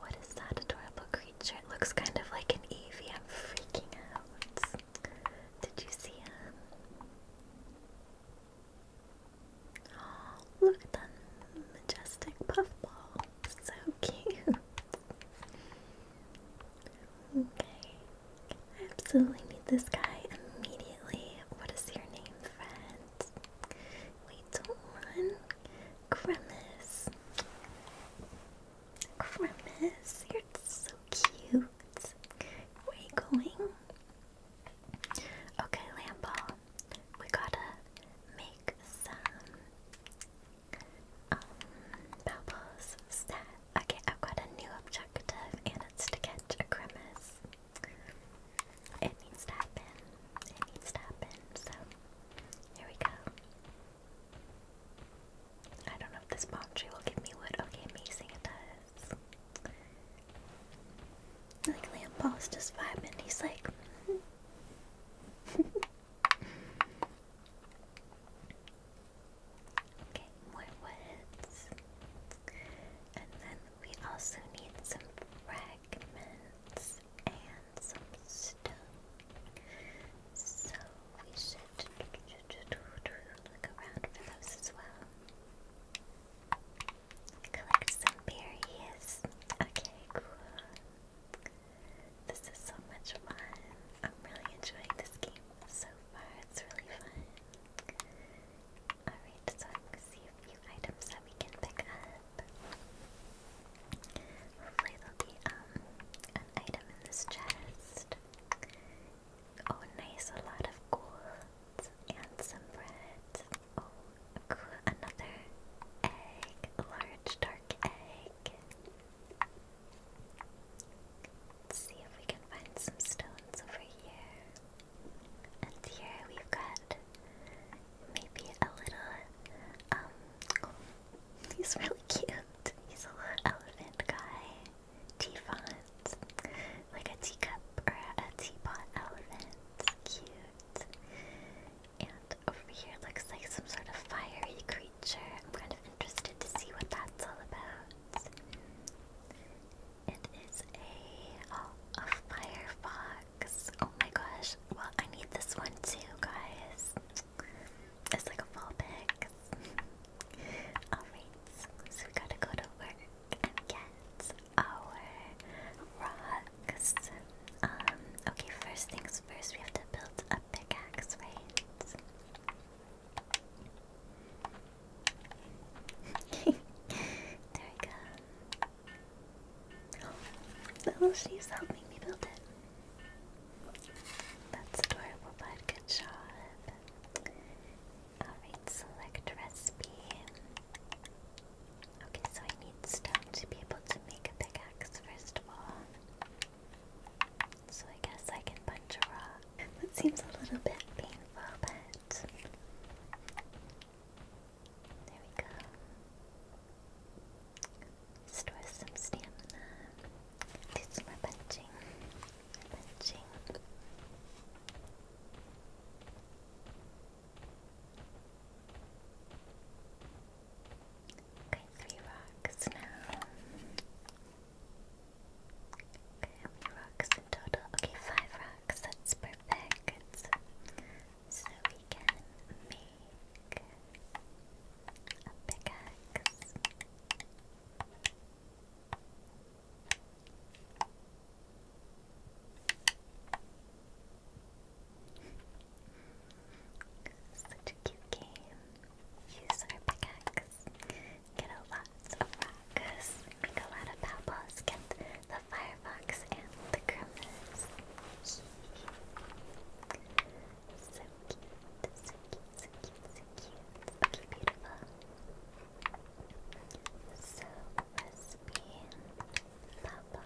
What is that adorable creature? It looks kind of like an Eevee. I'm freaking out. Did you see him? Oh, look at that majestic puffball. So cute. Okay. I absolutely need this guy immediately. What is your name, friend? We don't want Grimace. Grimace, you're so cute. Where are you going? we gotta make some um, bubbles. Set. Okay, I've got a new objective, and it's to catch a it needs to happen. It needs to happen. So, here we go. I don't know if this palm tree will give me wood. Okay, amazing, it does. Like, Liam Paul's just vibing. He's like. okay, more woods. And then we also need some fragments and some stones, So we should look around for those as well. Collect some berries. Okay, cool. This is so much fun. I'm really enjoying this game so far. It's really fun. Alright, so I'm see a few items that we can pick up. Hopefully there'll be um an in this chest. Oh nice, a lot of gold and some bread. Oh another egg, large dark egg. Let's see if we can find some stones over here. And here we've got maybe a little, um, oh, he's really cute. He's a little elephant guy. Teafont. Like a teacup or a teapot elephant. Cute. And over here looks like some sort of fiery creature. I'm kind of interested to see what that's all about. It is a oh, a firefox. Oh my gosh. Well, I need this one too, guys. It's like a full Alright, so we gotta go to work and get our rocks. Um, okay, first things first, we have to build a pickaxe, right? there we go. That little she's helping me build it. That's adorable, bud. Good job. Alright, select recipe. Okay, so I need stone to be able to make a pickaxe, first of all. So I guess I can punch a rock. That seems a little bit painful, but there we go. Store some stamina. Do some more punching. Okay, three rocks now. Okay, how rocks in total? Okay, five rocks. That's perfect so we can make a pickaxe. Such a cute game. Use our pickaxe. Get a lot of rocks. Make a lot of pebbles. Get the Firefox and the Grimace. so cute, so cute, so cute, so cute. Okay, beautiful. So recipe, Papa,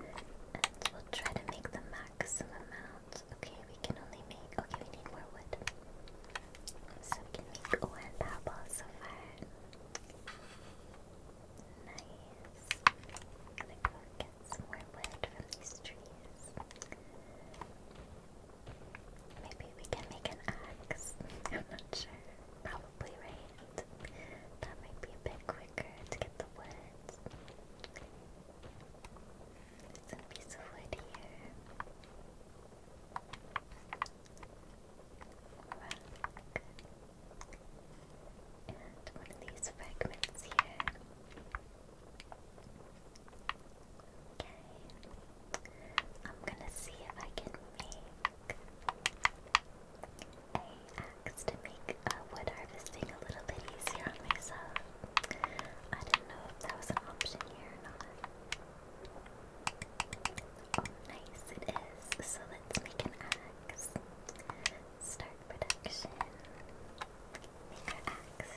and we'll try to make the maximum amount. Okay, we can only make. Okay, we need more wood. So we can make one apple so far. Nice. I'm gonna get some more wood from these trees. Maybe we can make an axe. I'm not sure. Probably right. That might be a bit quicker to get the wood. There's piece of wood here. And one of these fragments here. Okay. I'm gonna see if I can make a axe to make wood harvesting a little bit easier on myself. I didn't know if that was an option here or not nice it is. So let's make an axe. Start production. Make our axe.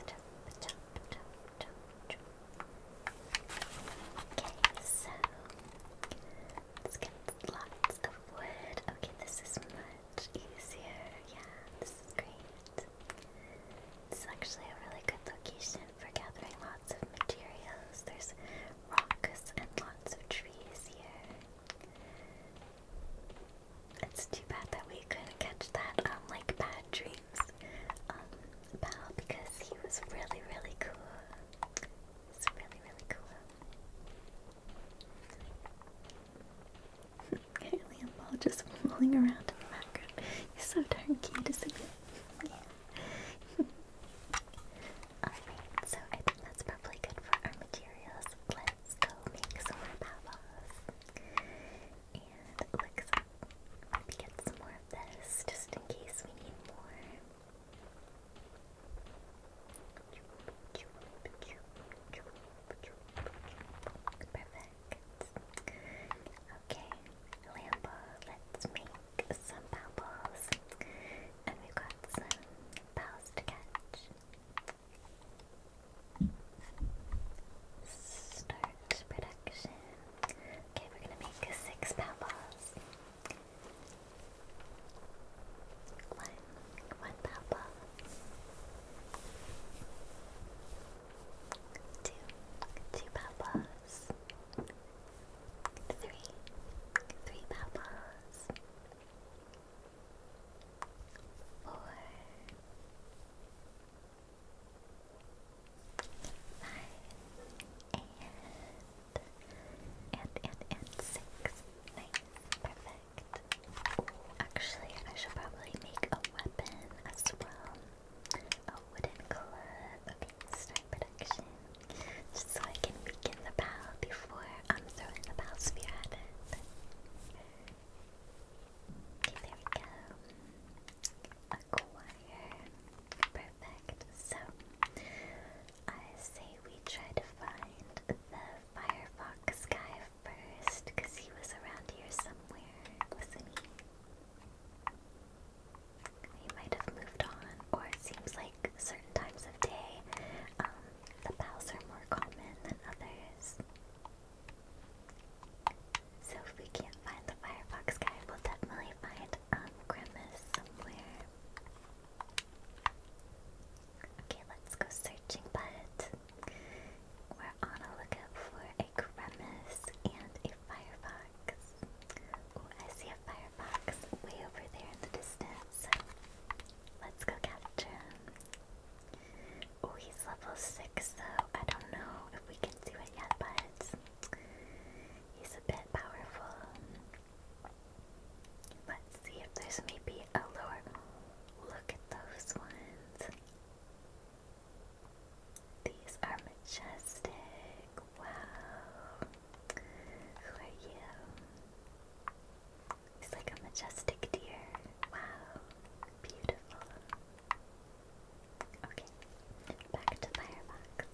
Okay, so let's get lots of wood. Okay, this is much easier. Yeah, this is great. It's actually a really good location for gathering lots of materials. There's rocks and lots of trees here. It's too bad that we couldn't catch that on um, like Bad Dreams um because he was really really cool. It's really really cool. Apparently i just rolling around in the background. He's so darn cute, isn't Alright, so I think that's probably good for our materials. Let's go make some more powwows. And Maybe get some more of this just in case we need more. Perfect. Okay, Lambo, let's make some bubbles. And we've got some balls to catch. Start production. Okay, we're gonna make six pound balls. One, one pound Two, two pound Three, three pound four, five, and, and, and, and six. perfect. actually, I should probably make a weapon as well. A wooden club. Okay, start production. Just so I can weaken the bow before I'm throwing the bow sphere at it. there we go. Acquire. Perfect. So, I say we try to find the Firefox guy first, he was around here somewhere, was he? might have moved on, or it seems like certain times of day, um, the bows are more common than others. So if we can't find the Firefox guy, we'll definitely find um, Grimace somewhere. Okay, let's go searching, but we're on a lookout for a Grimace and a Firefox. I see a Firefox way over there in the distance let's go capture him. Oh, he's level 6 so I don't know if we can see it yet, but he's a bit powerful. Let's see if there's maybe a lower. Look at those ones. These are majestic. Wow. Who are you? He's like a majestic deer. Wow, beautiful. Okay, back to Firefox.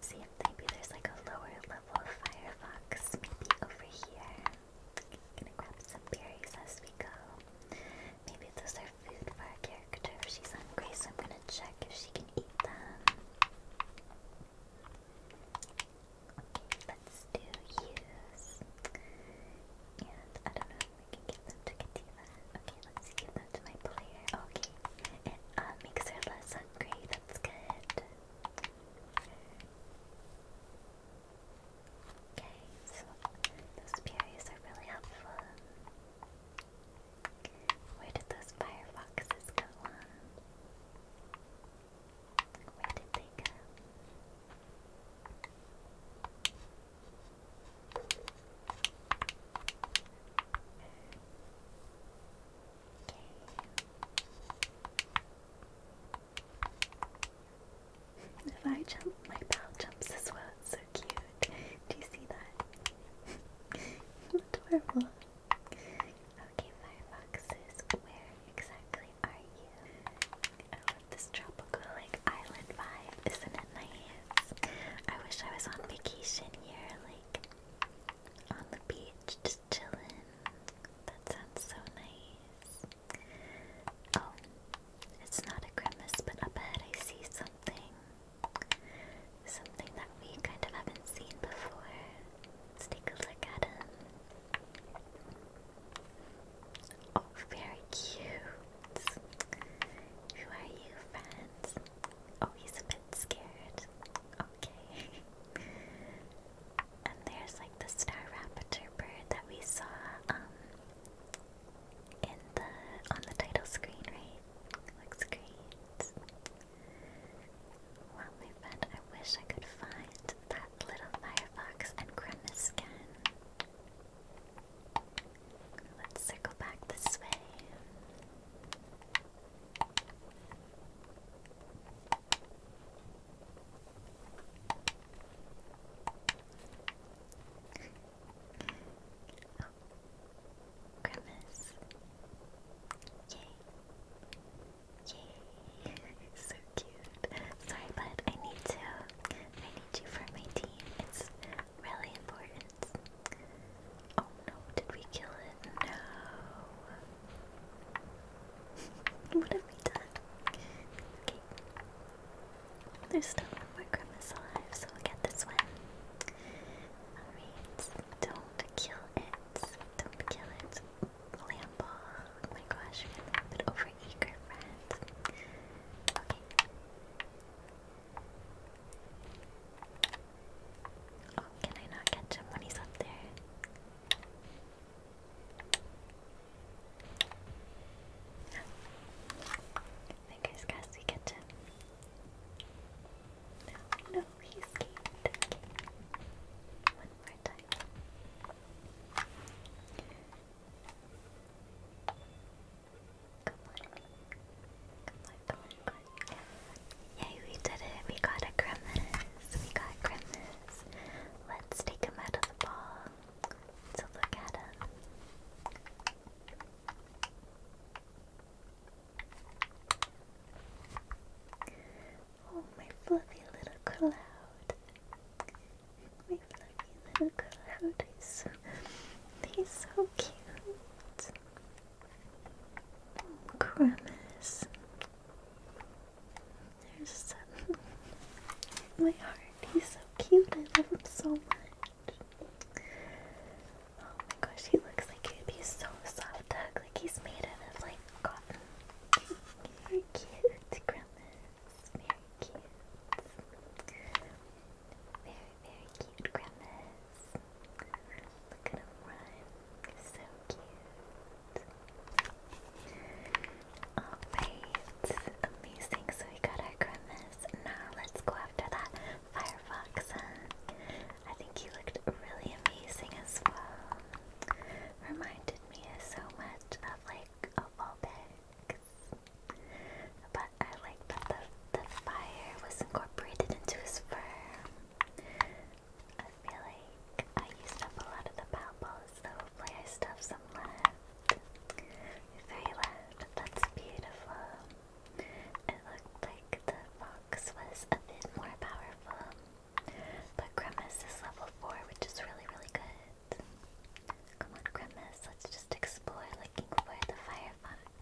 see if maybe there's like a lower level Firefox, maybe over here. Gonna grab some berries as we go. Maybe those are food for our character she's hungry, so I'm gonna check if she can eat them. Let's do use. And I don't know if we can give them to Kativa. Okay, let's give them to my player. Okay. It makes her less hungry. That's good. Okay, so those berries are really helpful. Where did those firefoxes go where did they go? if I jump, my pal jumps as well. It's so cute. Do you see that? Adorable. Okay, Firefoxes, where exactly are you? I this tropical, like, island vibe. Isn't it nice? I wish I was on vacation here, like, on the beach, just chilling. That sounds so nice. Oh, it's not a grimace, but up ahead I see something. Something that we kind of haven't seen before. Let's take a look at him. Oh, very cute. Who are you, friends? Oh, he's a bit scared. Okay. and there's like the star raptor bird that we saw um in the on the title screen, right? Looks great. Well, my I wish I could find that little Firefox and Grimace again. Let's circle back this way. oh. Grimace. Yay. so cute. Sorry, bud. I need to. I need you for my team. It's really important. Oh no! Did we kill it? No. what have we done? Okay. There's still one more grimace alive, so we'll get this one. Alright, don't kill it. Don't kill it. Lambo. Oh my gosh, you're a little bit over eager, Okay. Oh, can I not catch him when he's up there? Fingers crossed we catch him. No, no, he One more time. we did it. We got a grimace. We got a Let's take him out of the ball to look at him. Oh, my fluffy little cloud. My fluffy little cloud. He's so, he's so cute. Oh, Grimace. There's some. My heart. He's so cute. I love him so much. Oh my gosh, he looks like he'd be so soft to like he's made out of like cotton. Very cute, Grimace. Very cute. Very, very cute, Grimace. Look at him run. So cute. Alright. Amazing. So we got our Grimace. Now let's go after that Firefox. Huh? I think he looked really amazing as well. Reminded me so much of like awful bags. But I like that the, the fire was incorporated into his fur. I feel like I used up a lot of the palpos, so hopefully I still some left. Very left, that's beautiful. It looked like the fox was a bit more powerful. But Grimace is level 4, which is really, really good. Come on, Grimace, let's just explore looking for the firefox.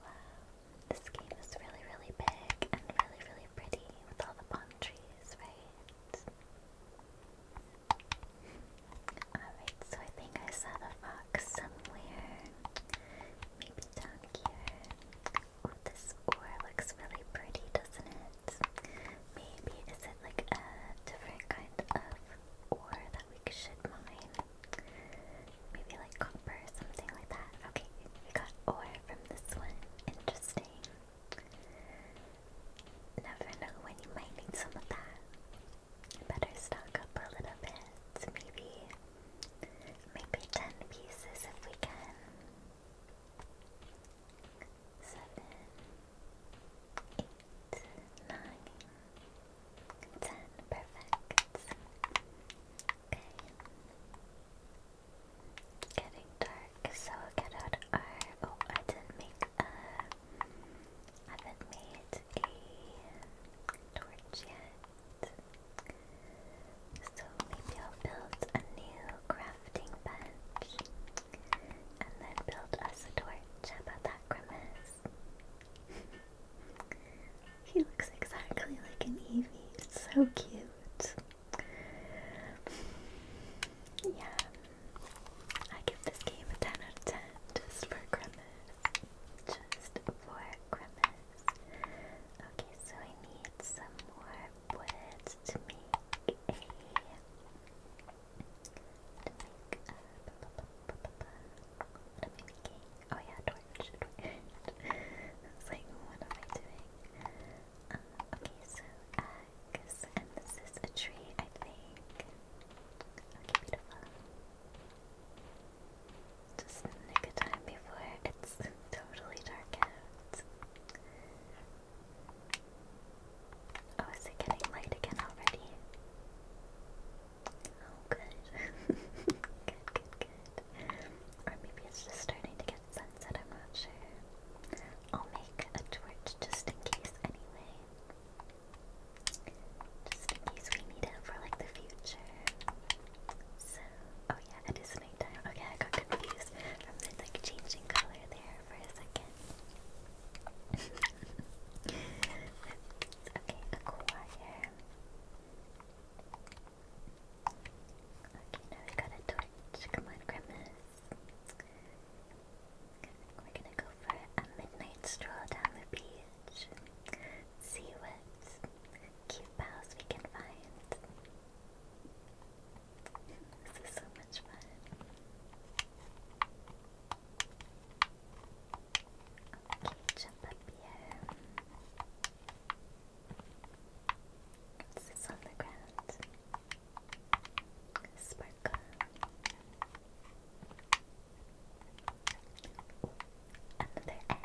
Wow, this game is really, really big and really, really pretty with all the palm trees, right? Alright, so I think I saw the fox somewhere. Maybe down here. this ore looks really pretty, doesn't it? Maybe is it like a different kind of ore that we should mine? Maybe like copper or something like that. Okay, we got ore from this one. Interesting. Never know when you might need some of that better stock up a little bit, maybe, maybe 10 pieces if we can. 7, perfect. Okay. Getting dark, so get out our, oh I didn't make a, I haven't made a torch yet. So maybe I'll build a new crafting bench and then build a torch. How about that grimace? he looks exactly like an Evie. It's so cute. Yeah. I give this game a 10 out of 10 just for grimace. Just for crevice. Okay, so I need some more wood to make a... to make a... What am Oh yeah, torch, torch. I was like, what okay, so eggs, and this is a tree, I think. Okay, beautiful. Just in the time before it's totally dark out. Oh, is it getting light again already? Oh, good. good, good, good. Or maybe it's just starting to get sunset, I'm not sure. I'll make a torch just in case, anyway. Just in case we need it for like the future. So, oh yeah, it is nighttime. Okay, I got confused from the like changing color there for a second. okay, acquire. Okay, now we got a torch. Come on, Grimace. We're gonna go for a midnight stroll down the beach. See what cute pals we can find. This is so much fun. Okay, jump up here. What's this on the ground? Sparkle. Another egg,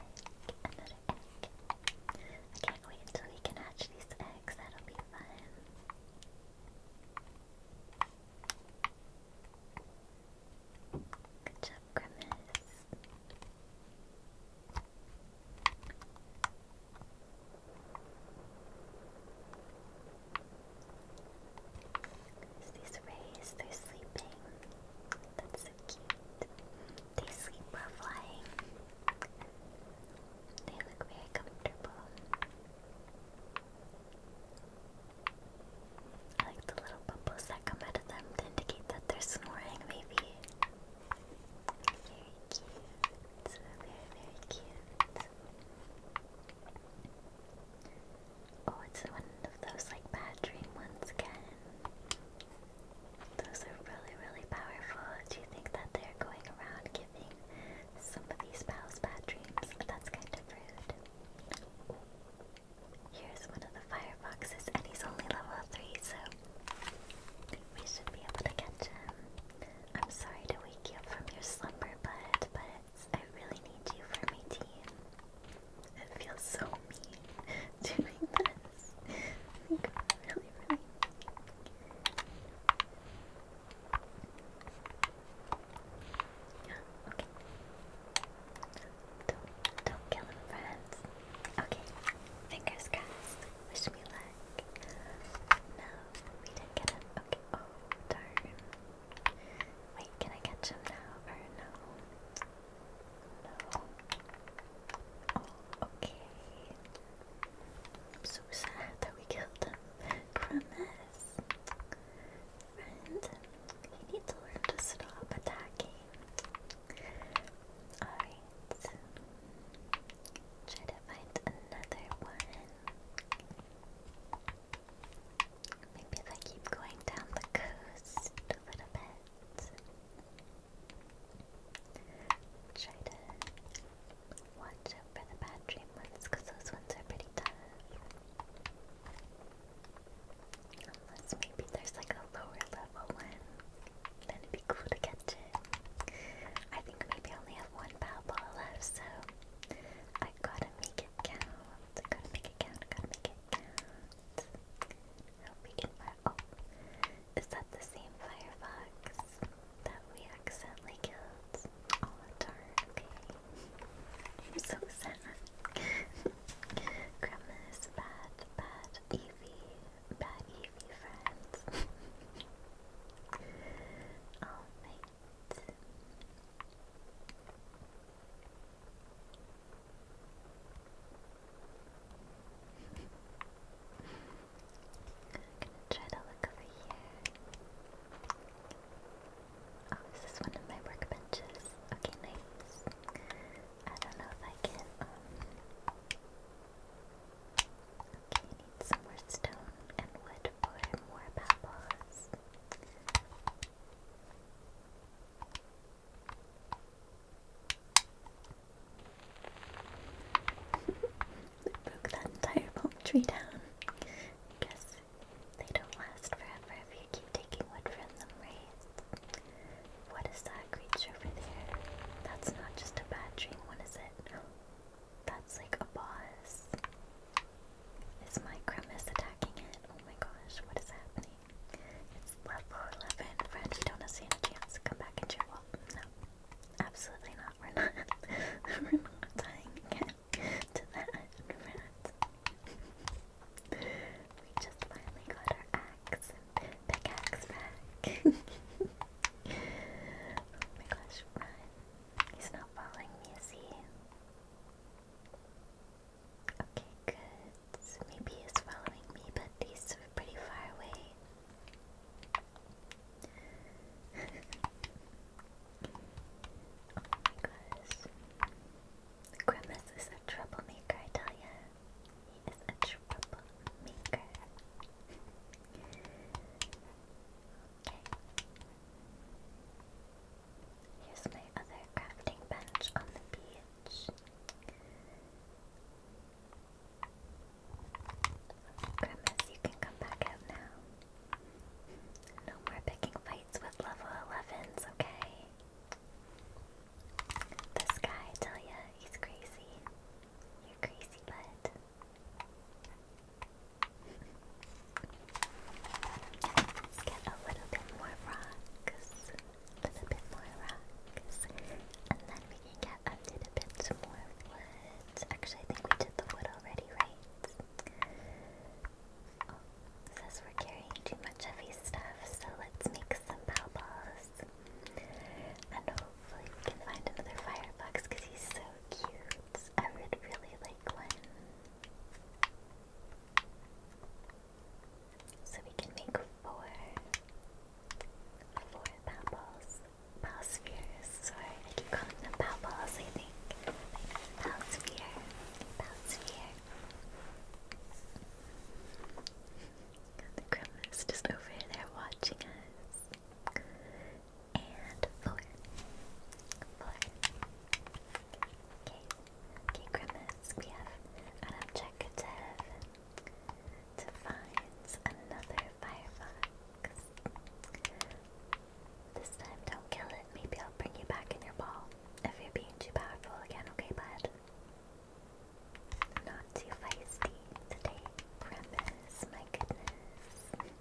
another egg. I can't wait until we can hatch these eggs, that'll be fun. Good job, Grimace. these rays, they're sleeping. That's so cute. They sleep while flying. They look very comfortable. I like the little bubbles that come out of them to indicate that they're snoring, maybe. Very cute. Very, very cute. Oh, it's one of those like bad dream ones again. Those are really, really powerful. Do you think that they're going around giving some of these pals bad dreams? That's kind of rude. Here's one of the fireboxes, and he's only level 3, so we should be able to catch him. I'm sorry to wake you up from your slumber, bud, but I really need you for my team. It feels so mean doing this. I think really, really Yeah, okay. Don't, don't kill him, friends. Okay, fingers crossed. Wish me luck. No, we didn't get him. Okay, oh darn. Wait, can I catch him now or no? No. okay. I'm so sad that we killed him. Promise. Friend, we need to learn to stop attacking. Alright. Try to find another one. Maybe if I keep going down the coast a little bit. Try to watch out for the bad dream ones because those ones are pretty tough. Unless maybe there's like a lower level one, then it'd be cool to catch it. I think maybe I only have one power ball left, so I gotta make it count. gotta make it count, gotta make it count. Hope we can Oh, is that the same firefox that we accidentally killed? Oh, darn. Okay. I'm so sad. Grandma's bad, bad Evie, bad Evie friends. Alright gonna try to look over here. Oh, this is one of my workbenches. Okay, nice. I don't know if I can, um... Okay, need some more stone and wood for more pebbles. Broke that entire palm tree down. guess they don't last forever if you keep taking wood from them, right? What is that creature over there? That's not just a bad dream, what is it? That's like a boss. Is my Kremis attacking it? Oh my gosh, what is happening? It's level 11. Friend, we don't have a chance. to Come back and check. Well, no. Absolutely not. We're not. we're to that, friend. we just finally got our axe pickaxe back. oh my gosh, run. He's not following me, is he? Okay, good. Maybe he's following me, but he's pretty far away. oh my gosh. Grimace is a troublemaker, I tell ya. He is a troublemaker. okay. Here's my other crafting bench on the beach. Grimace, you can come back out now. No more picking fights with level 11s, okay? This guy, I tell ya, he's crazy. You're crazy, bud. Let's get a little bit more rocks with a bit more rocks, and then we can get a bit more wood. Actually, I think we did the wood already, right? Oh, says we're carrying too much heavy stuff, so let's make some pow balls. And hopefully we can find another firebox because he's so cute. I would really like one. So we can make four, four Palballs, Palspheres, sorry, I keep calling them Palballs, I think. Palsphere, Palsphere. The Gremlins just over there watching us. And four. Four. Okay. Okay, Grimace, we have an uh, objective to find another firefox. This time, don't kill it. Maybe I'll bring you back in your ball if you're being too powerful again, okay, bud? Not too feisty today, premise, my goodness. Okay.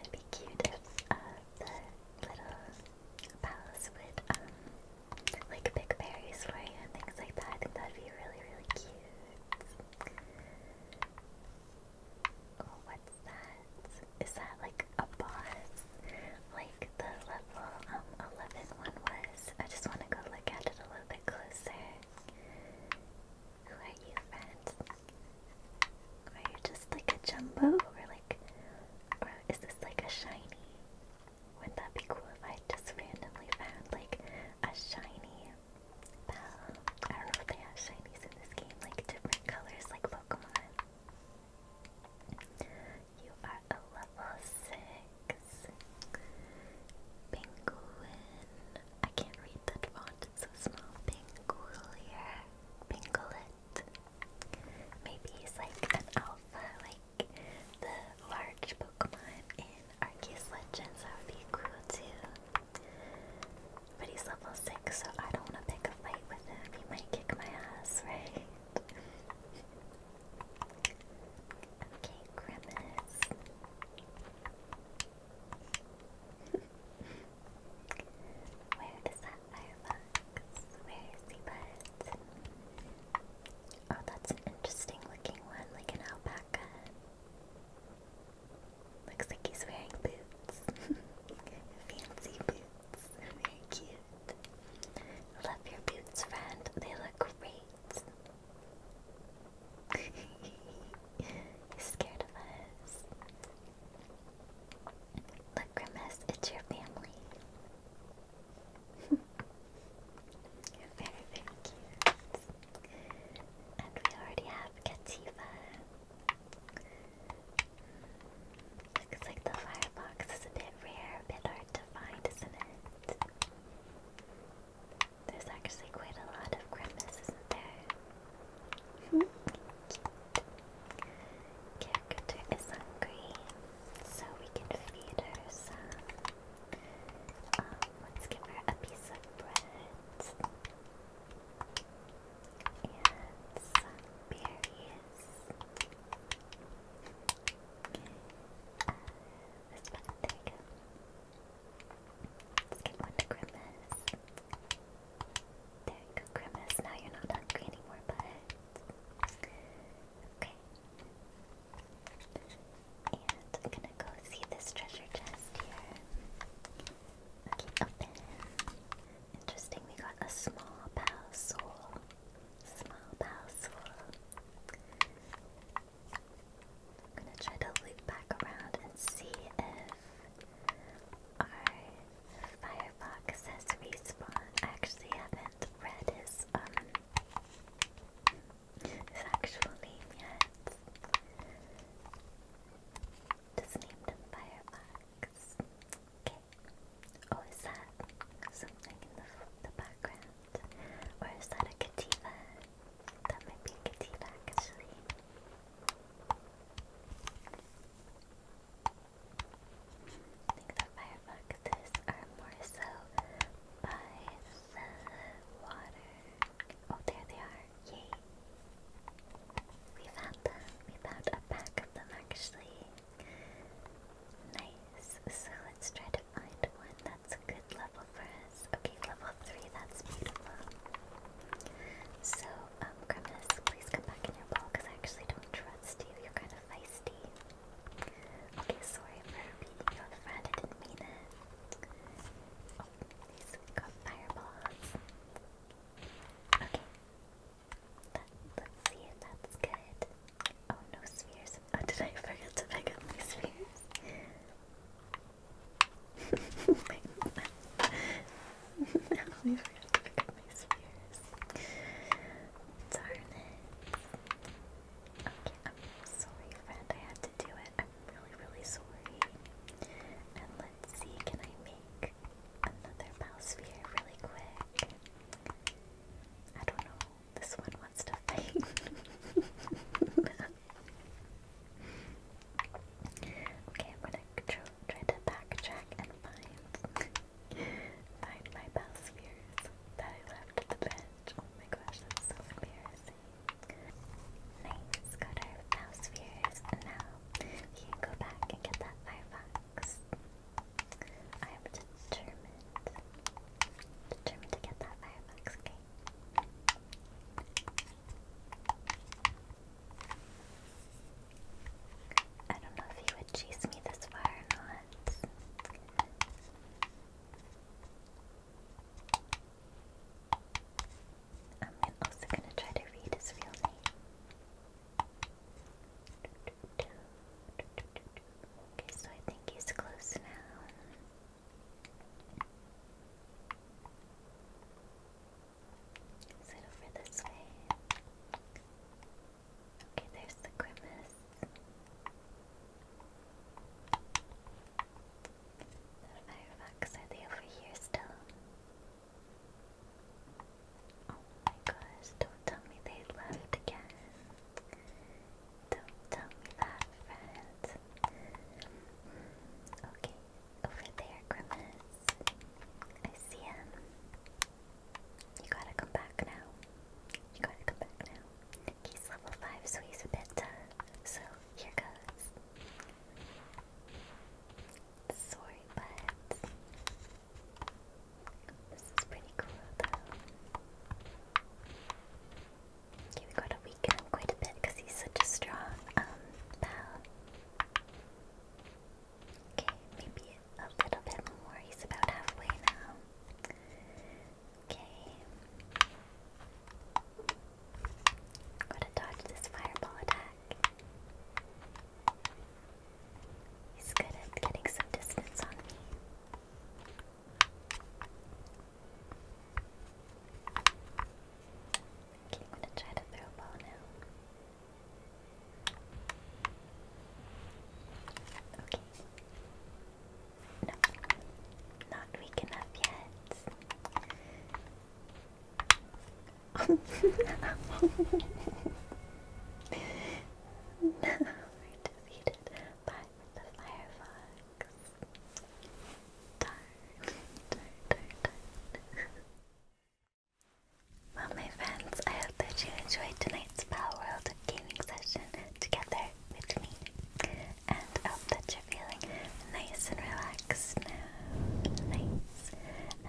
It'd be cute if uh, the little palace would um, like pick berries for you and things like that. I think that'd be really, really cute. Oh, what's that? Is that like a boss? Like the level um was? I just want to go look at it a little bit closer. Who are you, friend? Are you just like a jumbo or like or is this like a shiny? Wouldn't that be cool if I just randomly found like a shiny I don't know if they have shinies in this game, like different colors like Pokemon. You are a level 6. Penguin. I can't read that font, it's so small. Pingolier. Pingolet. Maybe he's like an alpha, like the large Pokemon in Arceus Legends. That would be cool too. But he's level 6, so I don't want to pick a fight with him. He might kick my ass, right? okay, Grimace. Where is that Firefox. Where is the bird? Oh, that's an interesting looking one, like an alpaca. Looks like he's wearing boots. Fancy boots. Very cute. Love your boots, friend. They look great. He's scared of us. Look, it's your family. very, very cute. And we already have Kativa. Looks like the firebox is a bit rare, a bit hard to find, isn't it? There's actually quite a lot of Grimace, isn't there? Cute. Character is hungry, so we can feed her some. Um, let's give her a piece of bread and some berries. Uh, there we go. Let's get one to Grimace. There you go, Grimace. Now you're not hungry anymore, bud. Okay. And I'm gonna go see this treasure chest here. Okay, open. Interesting, we got a small bow Small bow I'm gonna try to loop back around and see if our Firefox says respawn. I actually haven't read his um his yet. Just named Firefox. Okay. Oh, is that something in the the background, or is that a Kativa? That might be Kativa actually. I think the fireboxes are more so by the water. Oh, there they are. Yay! We found them. We found a pack of them actually. Nice. So let's try to find one that's a good level for us. Okay, level 3, that's beautiful. So, um, please come back in your ball because I actually don't trust you. You're kind of feisty. Okay, sorry for being your friend, I didn't mean it. Oh, these got fireballs. Okay. Let, us see if that's good. Oh, no spheres. Oh, did I forget to pick up spheres? I always forget to pick Darn it. Okay, I'm sorry, friend. I had to do it. I'm really, really sorry. And let's see, can I make another bow sphere really quick? I don't know. This one wants to fight. Okay, I'm gonna try to backtrack and find Find my past that I left at the bench. Oh my gosh, that's so embarrassing. Nice, got our past And now we go back and get that Firefox. I am determined. Determined to get that Firefox, okay? I don't know if he would chase me this far or not. I'm also gonna try to read his real name. Okay, so I think he's close now. Is it over this way? Okay, there's the grimace. The firefox, are they over here still? Oh my gosh, don't tell me they left again. Don't tell me that, Okay, over there, Grimace. I see him. You gotta come back now. You gotta come back now. He's level 5, so he's a bit tough. So, here goes. Sorry, but. This is pretty cool, though. Okay, we gotta weaken him quite a bit because he's such a strong, um, pal. Okay, maybe a little bit more. He's about halfway now. Okay. Gotta dodge this fireball attack. He's good at getting some distance on me. Okay, I'm gonna try to throw a ball now. Okay. No, not weak enough yet. we're defeated by the firefox. Darn, darn, darn, darn. Well, my friends, I hope that you enjoyed tonight's Power World gaming session together with me. And I hope that you're feeling nice and relaxed now. Nice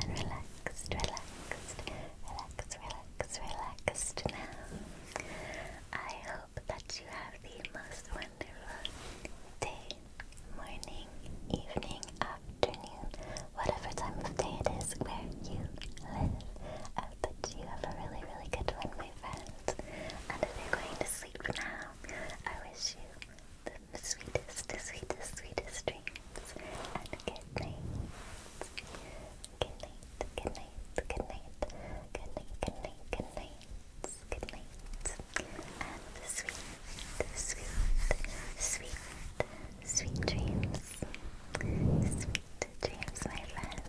and relaxed, relaxed, relaxed, relaxed, relaxed now. I hope that you have the most wonderful day, morning, evening, afternoon, whatever time of day it is where you live but you have a really, really good one, my friend. And if you're going to sleep now, I wish you the sweetest, sweetest, sweetest dreams. And good night. Good night, good night, good night, good night, good night, good night, good night. And sweet, sweet, sweet, sweet dreams. Sweet, to James, my friend.